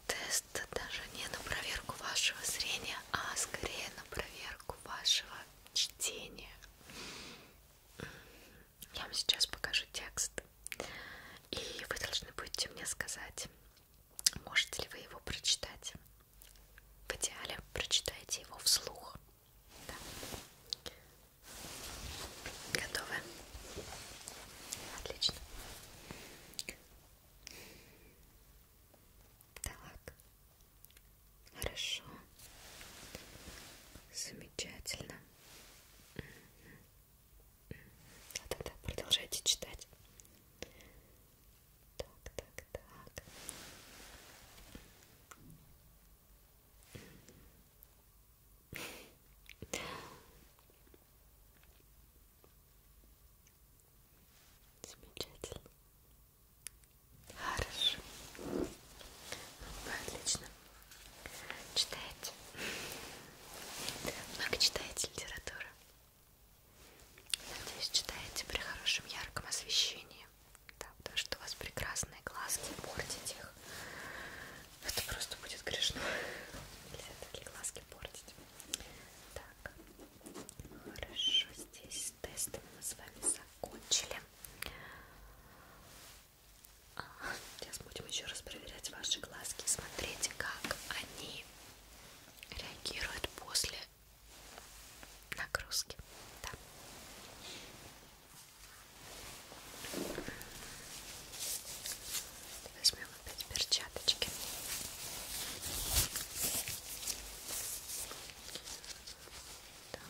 тест даже не на проверку вашего зрения, а скорее на проверку вашего чтения. Я вам сейчас покажу текст, и вы должны будете мне сказать, можете ли вы его прочитать. В идеале прочитайте его вслух. Да. Готовы? Отлично. Так, хорошо, замечательно. А тогда продолжайте читать. Так, так, так. Замечательно. Хорошо. Вы отлично. Читаете? Много читаете литературу? Надеюсь, читаете при хорошем ярком освещении. Да, потому что у вас прекрасные глазки, портить их. Это просто будет грешно. Нельзя такие глазки портить. Так, Хорошо, здесь тесты мы с вами закончили. А, сейчас будем еще раз проверять ваши глазки, смотреть, как они реагируют после нагрузки. Да. Возьмем без перчаточки. Так.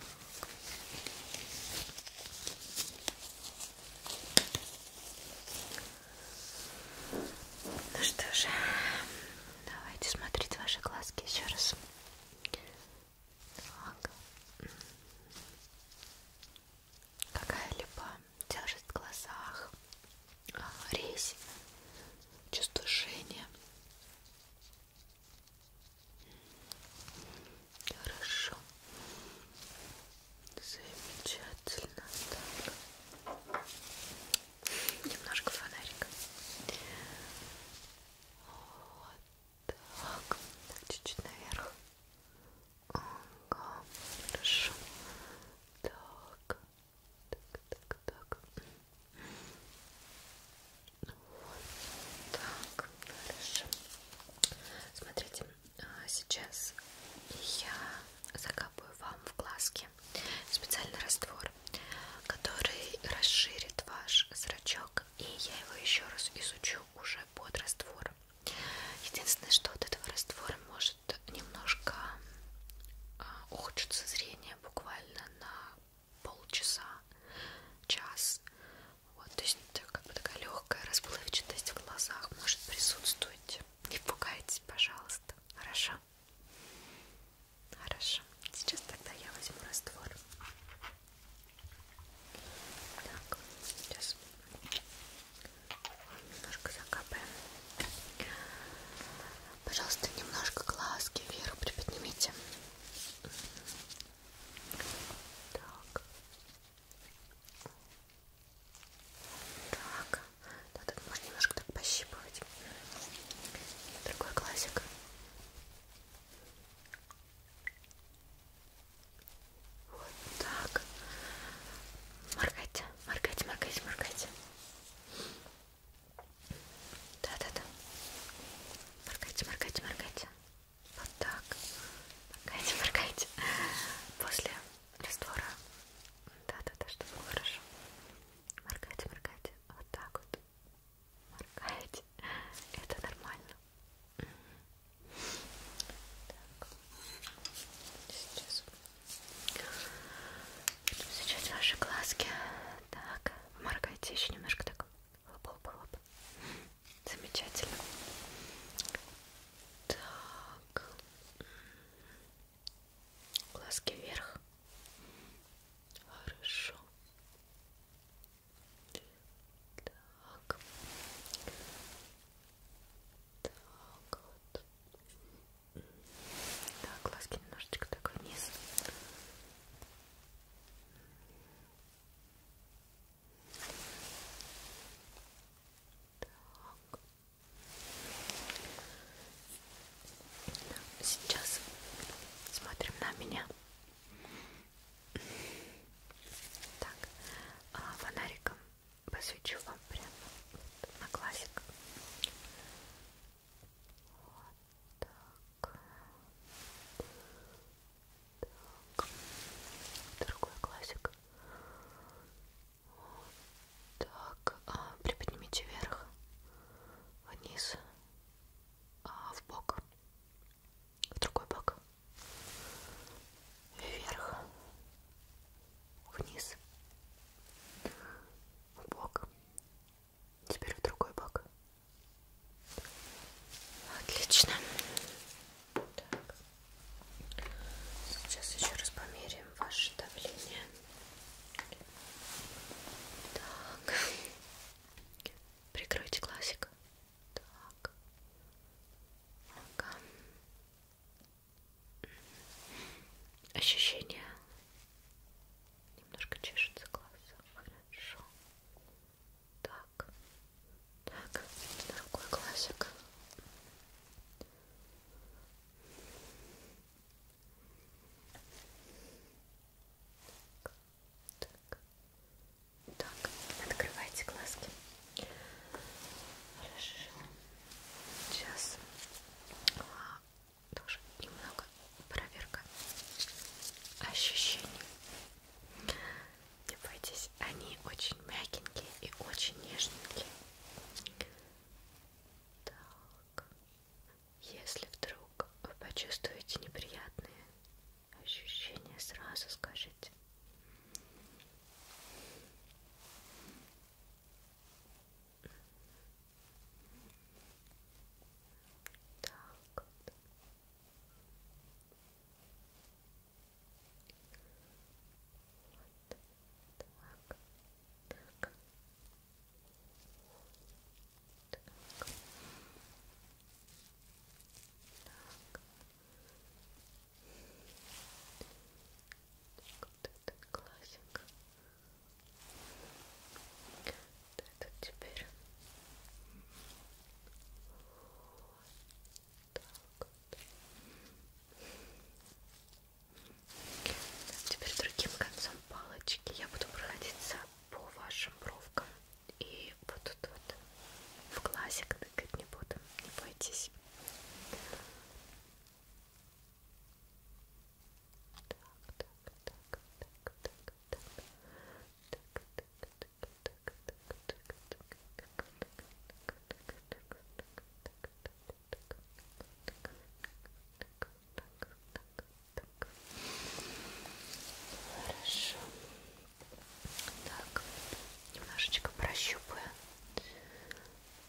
Ну что же, давайте смотреть ваши глазки еще раз. Так. Какая липа тяжесть в глазах, а, резь, чувство жжения. Хорошо. Замечательно. Так. Немножко фонарика. Вот так. Чуть-чуть наверх. Ага. Хорошо. Так. Так, так, так. Вот так, хорошо. Смотрите, а, сейчас я закапываю вам в глазки специальный раствор, который расширит ваш зрачок, и я его еще раз изучу уже под раствор. Единственное, что от этого раствора может немножко а, ухудшится зрение буквально на полчаса, час. Вот, то есть как бы такая легкая расплывчатость в глазах может присутствовать. Не пугайтесь, пожалуйста. Хорошо? Хорошо. Сейчас тогда я возьму раствор. Так, сейчас немножко закапаем. Пожалуйста, немножко глазки вверх приподнимите. Так. Так. Да, так можно немножко так пощипывать. Другой глазик. Вот так. Моргайте, моргайте, моргайте, моргайте. Да-да-да. Моргайте, моргайте, моргайте. Вот так. Моргайте, моргайте. После раствора. Да-да-да, чтобы было хорошо. Моргайте, моргайте. Вот так вот. Моргайте. Это нормально. Так. Сейчас Сейчас ваши глазки. Так, моргайте еще немножко так. Лоп, лоп, лоп. Замечательно. Так. Глазки вверх. Хорошо. Так. Так вот. Так, глазки немножечко так вниз. Так. Сейчас смотрим на меня. Так, а, фонариком посвечу вам прямо на классик. Вот так. Так. Другой классик. Вот так. А, приподнимите вверх, вниз, а, в бок, в другой бок, вверх, вниз бок. Теперь в другой бок. Отлично. Так. Сейчас еще раз померяем ваше давление. Так. Прикройте глазик. Так. Ага. Ощущение немножко чешется глаза. Хорошо. Так. Так. Другой глазик. Так. Так, открывайте глазки. Хорошо. Сейчас тоже немного проверка ощущений. Не бойтесь, они очень мягенькие и очень нежненькие. Так, если вдруг вы почувствуете неприятные ощущения, сразу скажите. Так вот. Вот. Так. Так. Так. Так. Вот это классик. Так. Вот этот теперь. Так вот. Теперь другим концом палочки я буду проходиться по вашим бровкам и вот тут вот в глазик тыкать не буду, не бойтесь. Хорошо. Так, немножечко прощупаю.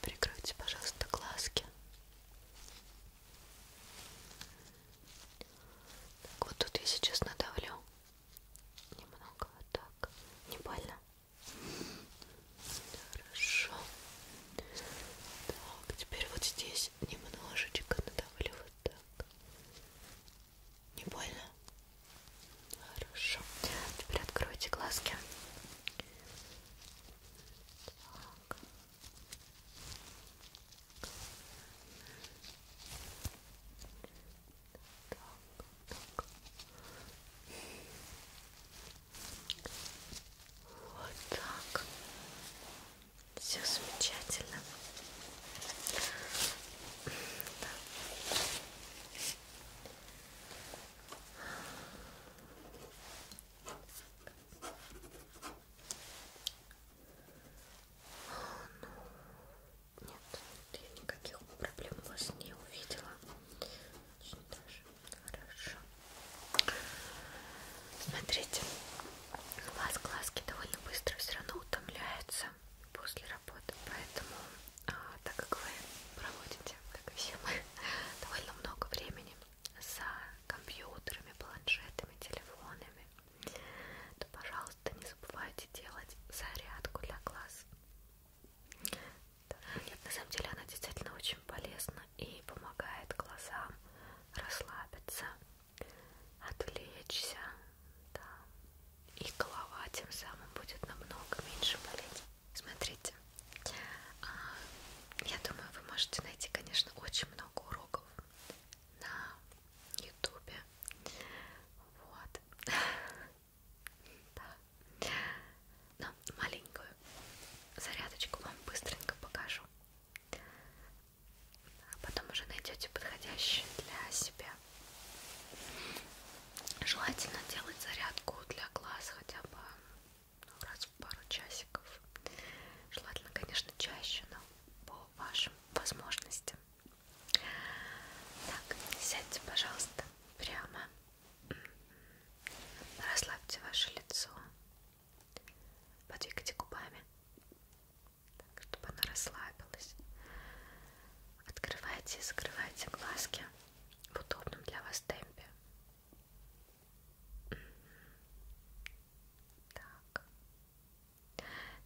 Прикройте, пожалуйста, глазки. Так вот тут я сейчас надавлю немного вот так. Не больно? Хорошо. Так, теперь вот здесь немножечко надавлю вот так. Не больно? Хорошо. Теперь откройте глазки. Так так. Вот так. Все замечательно. Да. Ну, нет, я никаких проблем у вас не увидела. Очень даже хорошо. Смотрите, у вас глазки довольно быстро все равно утомляются после работы, поэтому, а, так как вы проводите, как и все мы, довольно много времени за компьютерами, планшетами, телефонами, то, пожалуйста, не забывайте делать зарядку для глаз. Нет, на самом деле она действительно очень полезна и помогает глазам расслабиться, отвлечься, да. И голова тем самым будет намного меньше болеть. Смотрите, а, я думаю, вы можете найти, конечно, очень много уроков на ютубе. Вот. Да. Но маленькую зарядочку вам быстренько покажу. А потом уже найдете подходящий для себя. Желательно делать зарядку для глаз хотя бы ну, раз в пару часиков. Желательно, конечно, чаще, но по вашим возможностям. Так, сядьте, пожалуйста, прямо. М-м-м. Расслабьте ваше лицо. Подвигайте губами, так, чтобы оно расслабилось. Открывайте и закрывайте глазки в удобном для вас темпе. Так.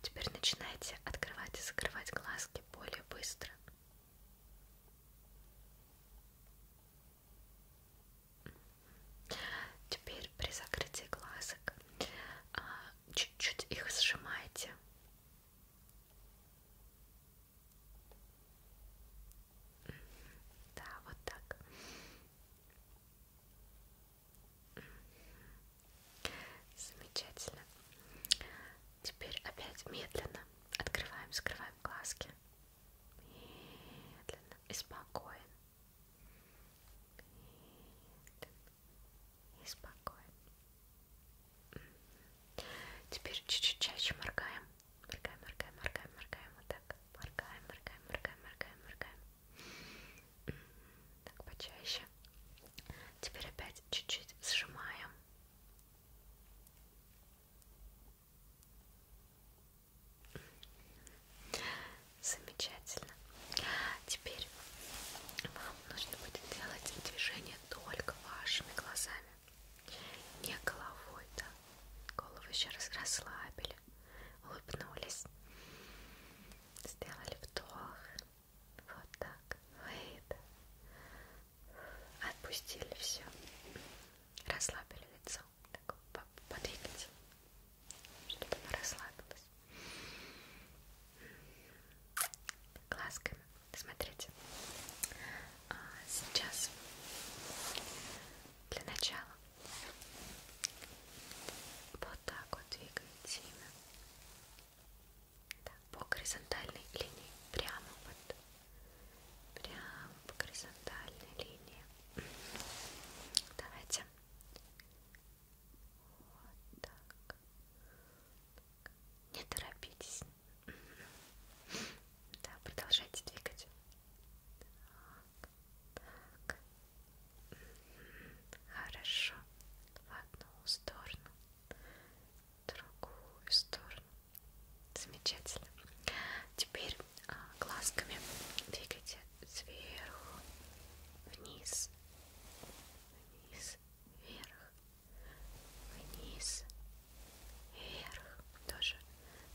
Теперь начинайте открывать и закрывать глазки более быстро. Теперь при закрытии глазок а, чуть-чуть их сжимайте. Да, вот так. Замечательно. Теперь опять медленно открываем, скрываем глазки. Медленно и спокойно. Медленно и спокойно. Теперь чуть-чуть чаще моргаем. Моргаем, моргаем, моргаем, моргаем. Вот так. Моргаем, моргаем, моргаем, моргаем, моргаем. Так, почаще. Теперь опять чуть-чуть сжимаем. Замечательно. Теперь вам нужно будет делать движение только вашими глазами, не головой, да. Голову еще раз расслабили улыбнулись, сделали вдох, вот так, выдох, отпустили все, расслабили лицо, так подвигайте, чтобы оно расслабилось. Глазками, смотрите. А, сейчас для начала вот так вот двигаете имя. Так, по горизонтальной линии. Прямо вот. Прямо по горизонтальной линии. Давайте. Вот так. Не торопитесь. Да, продолжайте двигать. Так, так, Хорошо. В одну сторону, в другую сторону. Замечательно. Теперь а, глазками двигайте сверху, вниз, вниз, вверх, вниз, вверх. Тоже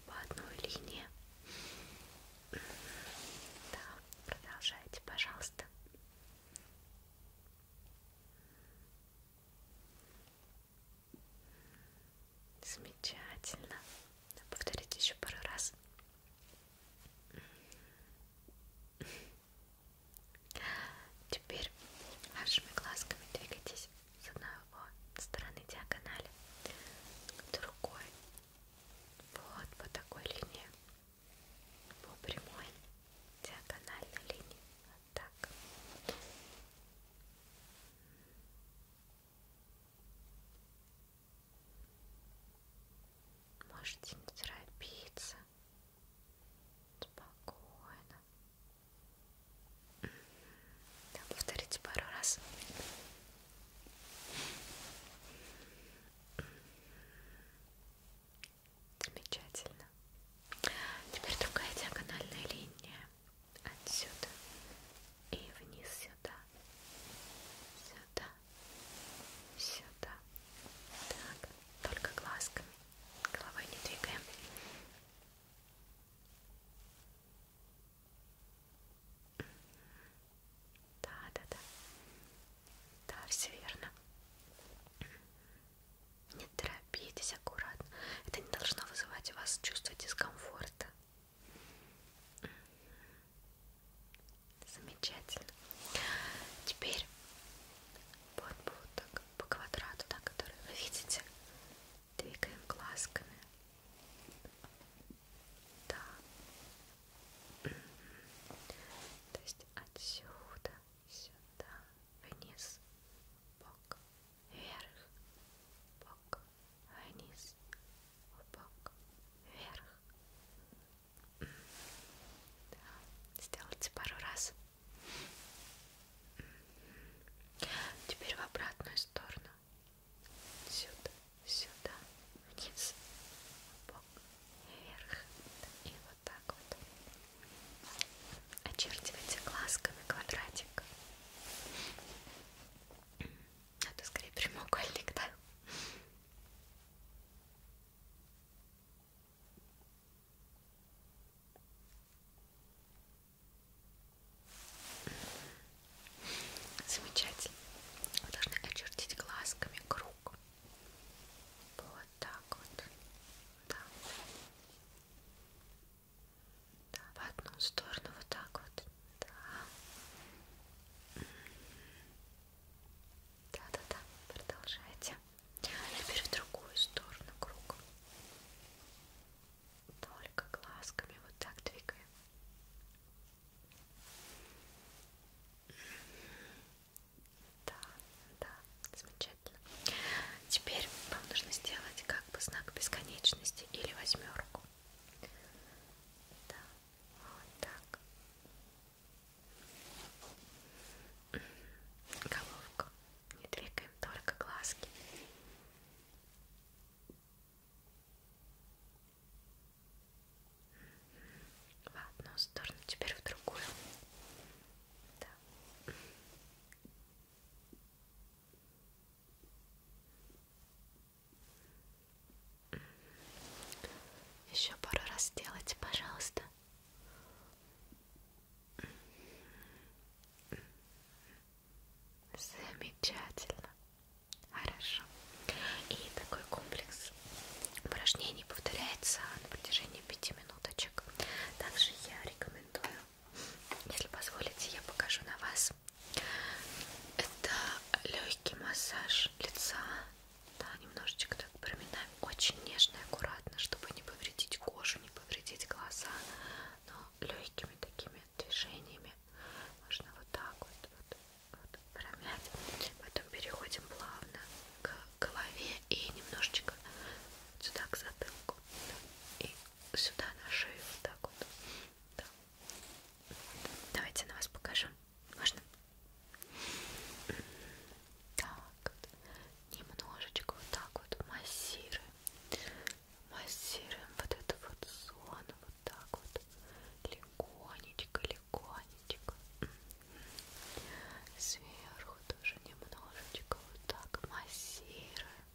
по одной линии. Да, продолжайте, пожалуйста. Замечательно. Повторите еще пару раз. Теперь вашими глазками двигайтесь с одной стороны диагонали к другой вот по такой линии, по прямой диагональной линии. Вот так. Можете не торопиться. Спокойно. Да, повторите пару раз. Замечательно. Теперь другая диагональная линия отсюда и вниз сюда, сюда, сюда. Так, только глазками, головой не двигаем. Да, да, да. Да, все верно. Не торопитесь, аккуратно. Это не должно вызывать у вас чувство дискомфорта. Замечательно. Теперь вот, вот так по квадрату, да, который вы видите, двигаем глазками. Да. То есть отсюда, сюда, вниз, бок, вверх, бок, вниз, бок, вверх. Да. Сделайте пару раз. Теперь в обратную сторону сюда, сюда, вниз, бок, вверх и вот так вот. Очерчивайте глазками квадратик. Это а скорее прямоугольник, да? Замечательно. Вы должны очертить глазками круг. Вот так вот. Да. да. В одну сторону вот так вот. Да. Да-да-да. Продолжайте. Теперь в другую сторону круг. Только глазками вот так двигаем. Да, да, замечательно. Теперь вам нужно сделать как бы знак бесконечности или восьмерку. Да, вот так. Головку. Не двигаем только глазки в одну сторону, теперь в другую. Да. Еще пару раз сделайте, пожалуйста. Замечательно. Хорошо. И такой комплекс упражнений повторяется на протяжении 5 минуточек. Также я рекомендую, если позволите, я покажу на вас. Это легкий массаж лица. Да, немножечко так проминаем. Очень нежно и аккуратно, чтобы не повредить кожу, не повредить глаза. Но легкими такими движениями можно вот так вот, вот вот, промять. Потом переходим плавно к голове и немножечко сюда к затылку. И сюда на шею. Вот так вот. Да. Давайте на вас покажу. Можно? Так вот. Немножечко вот так вот массируем. Массируем вот эту вот зону. Вот так вот легонечко, легонечко. Сверху тоже немножечко вот так массируем.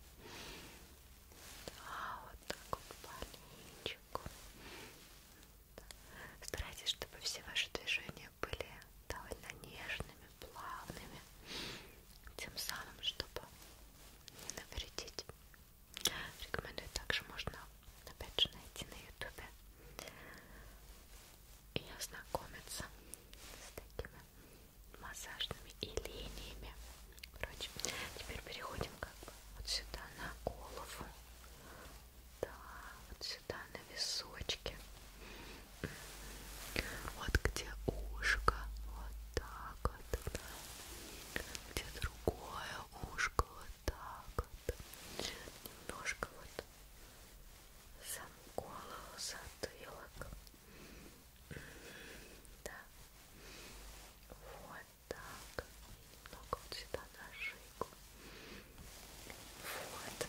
Да, вот так вот маленечко. Старайтесь, чтобы все ваши движения были довольно нежными, плавными, тем самым, чтобы не навредить. Рекомендую также можно опять же найти на ютубе и ознакомиться с такими массажными и линиями Короче, теперь переходим как бы вот сюда на голову да, вот сюда на височки вот где ушко вот так вот где другое ушко вот так вот немножко вот сам голову, затылок да вот так немного вот сюда на шейку вот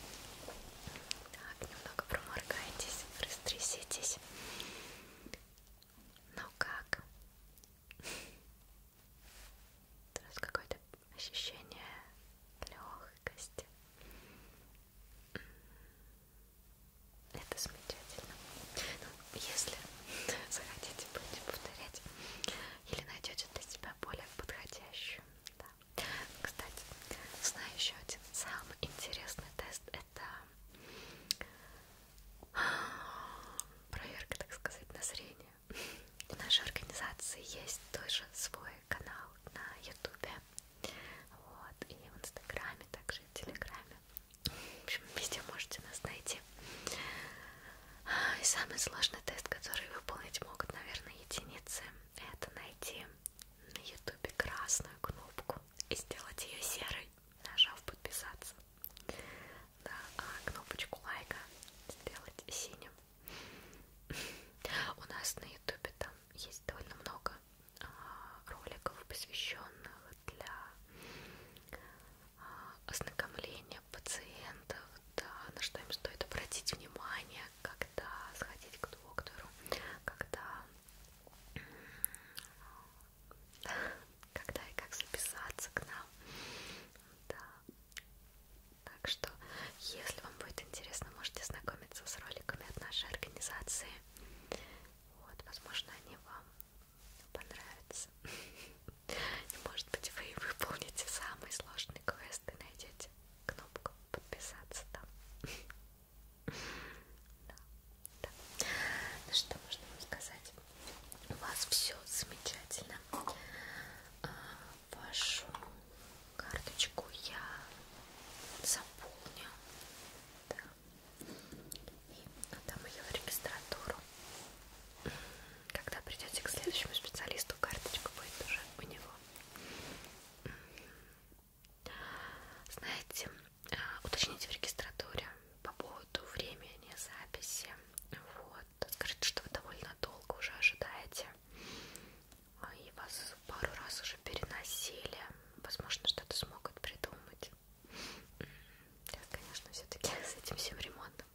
так, немного проморгайтесь, растряситесь ну как? То есть какое-то ощущение легкости. Это замечательно. Ну, если захотите, будете повторять или найдете для себя более подходящую. Да. Кстати, знаю еще один самый интересный тест. Это проверка, так сказать, на зрение у нашей организации есть тоже свой канал на ютубе вот, и в инстаграме, также и в телеграме в общем, везде можете нас найти и самый сложный тест, который выполнить могут, наверное, единицы это найти на ютубе красную кнопку и сделать ее серой, нажав подписаться да, а кнопочку лайка сделать синим у нас на ютубе там есть довольно много а, роликов, посвященных для а, ознакомления пациентов, да, на что им стоит обратить внимание, когда сходить к доктору, когда когда и как записаться к нам. Да, так что, если вам будет интересно, можете знакомиться с роликами от нашей организации. Вот, возможно, они вам понравятся. Может быть, вы выполните самый сложный квест и найдете кнопку подписаться там. Да, да. Ну что можно вам сказать? У вас все замечательно. А, вашу карточку я заполню да. и отдам ее в регистратуру. Когда придете к следующему специалисту, карточка будет уже у него. Знаете, а, уточните в регистратуре по поводу времени записи. Вот скажите, что вы довольно долго уже ожидаете а, и вас пару раз уже переносили. Возможно, что-то смогут придумать. Я, конечно, все-таки с этим всем ремонтом.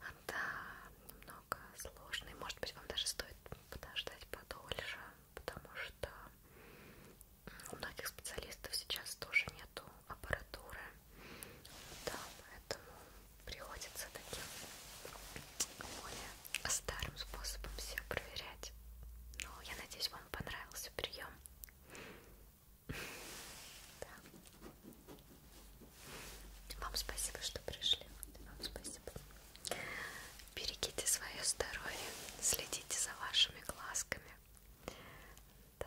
А, да, немного сложно. И, может быть, вам даже стоит подождать подольше, потому что у многих специалистов сейчас тоже нету аппаратуры да, поэтому приходится таким более старым способом все проверять. Но я надеюсь, вам понравился прием. Да. Вам спасибо, что пришли. Вам спасибо. Берегите свое здоровье, следите за вашими глазками. Да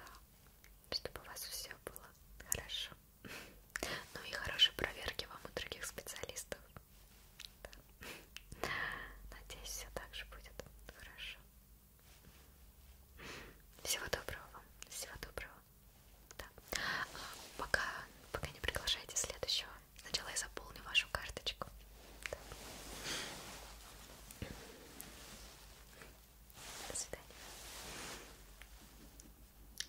чтобы у вас все было хорошо. Ну и хорошей проверки вам у других специалистов. Да. Надеюсь, все так же будет хорошо. Всего доброго вам. Всего доброго. Да. А пока, пока не приглашайте следующего. Сначала я заполню вашу карточку. Да. До свидания.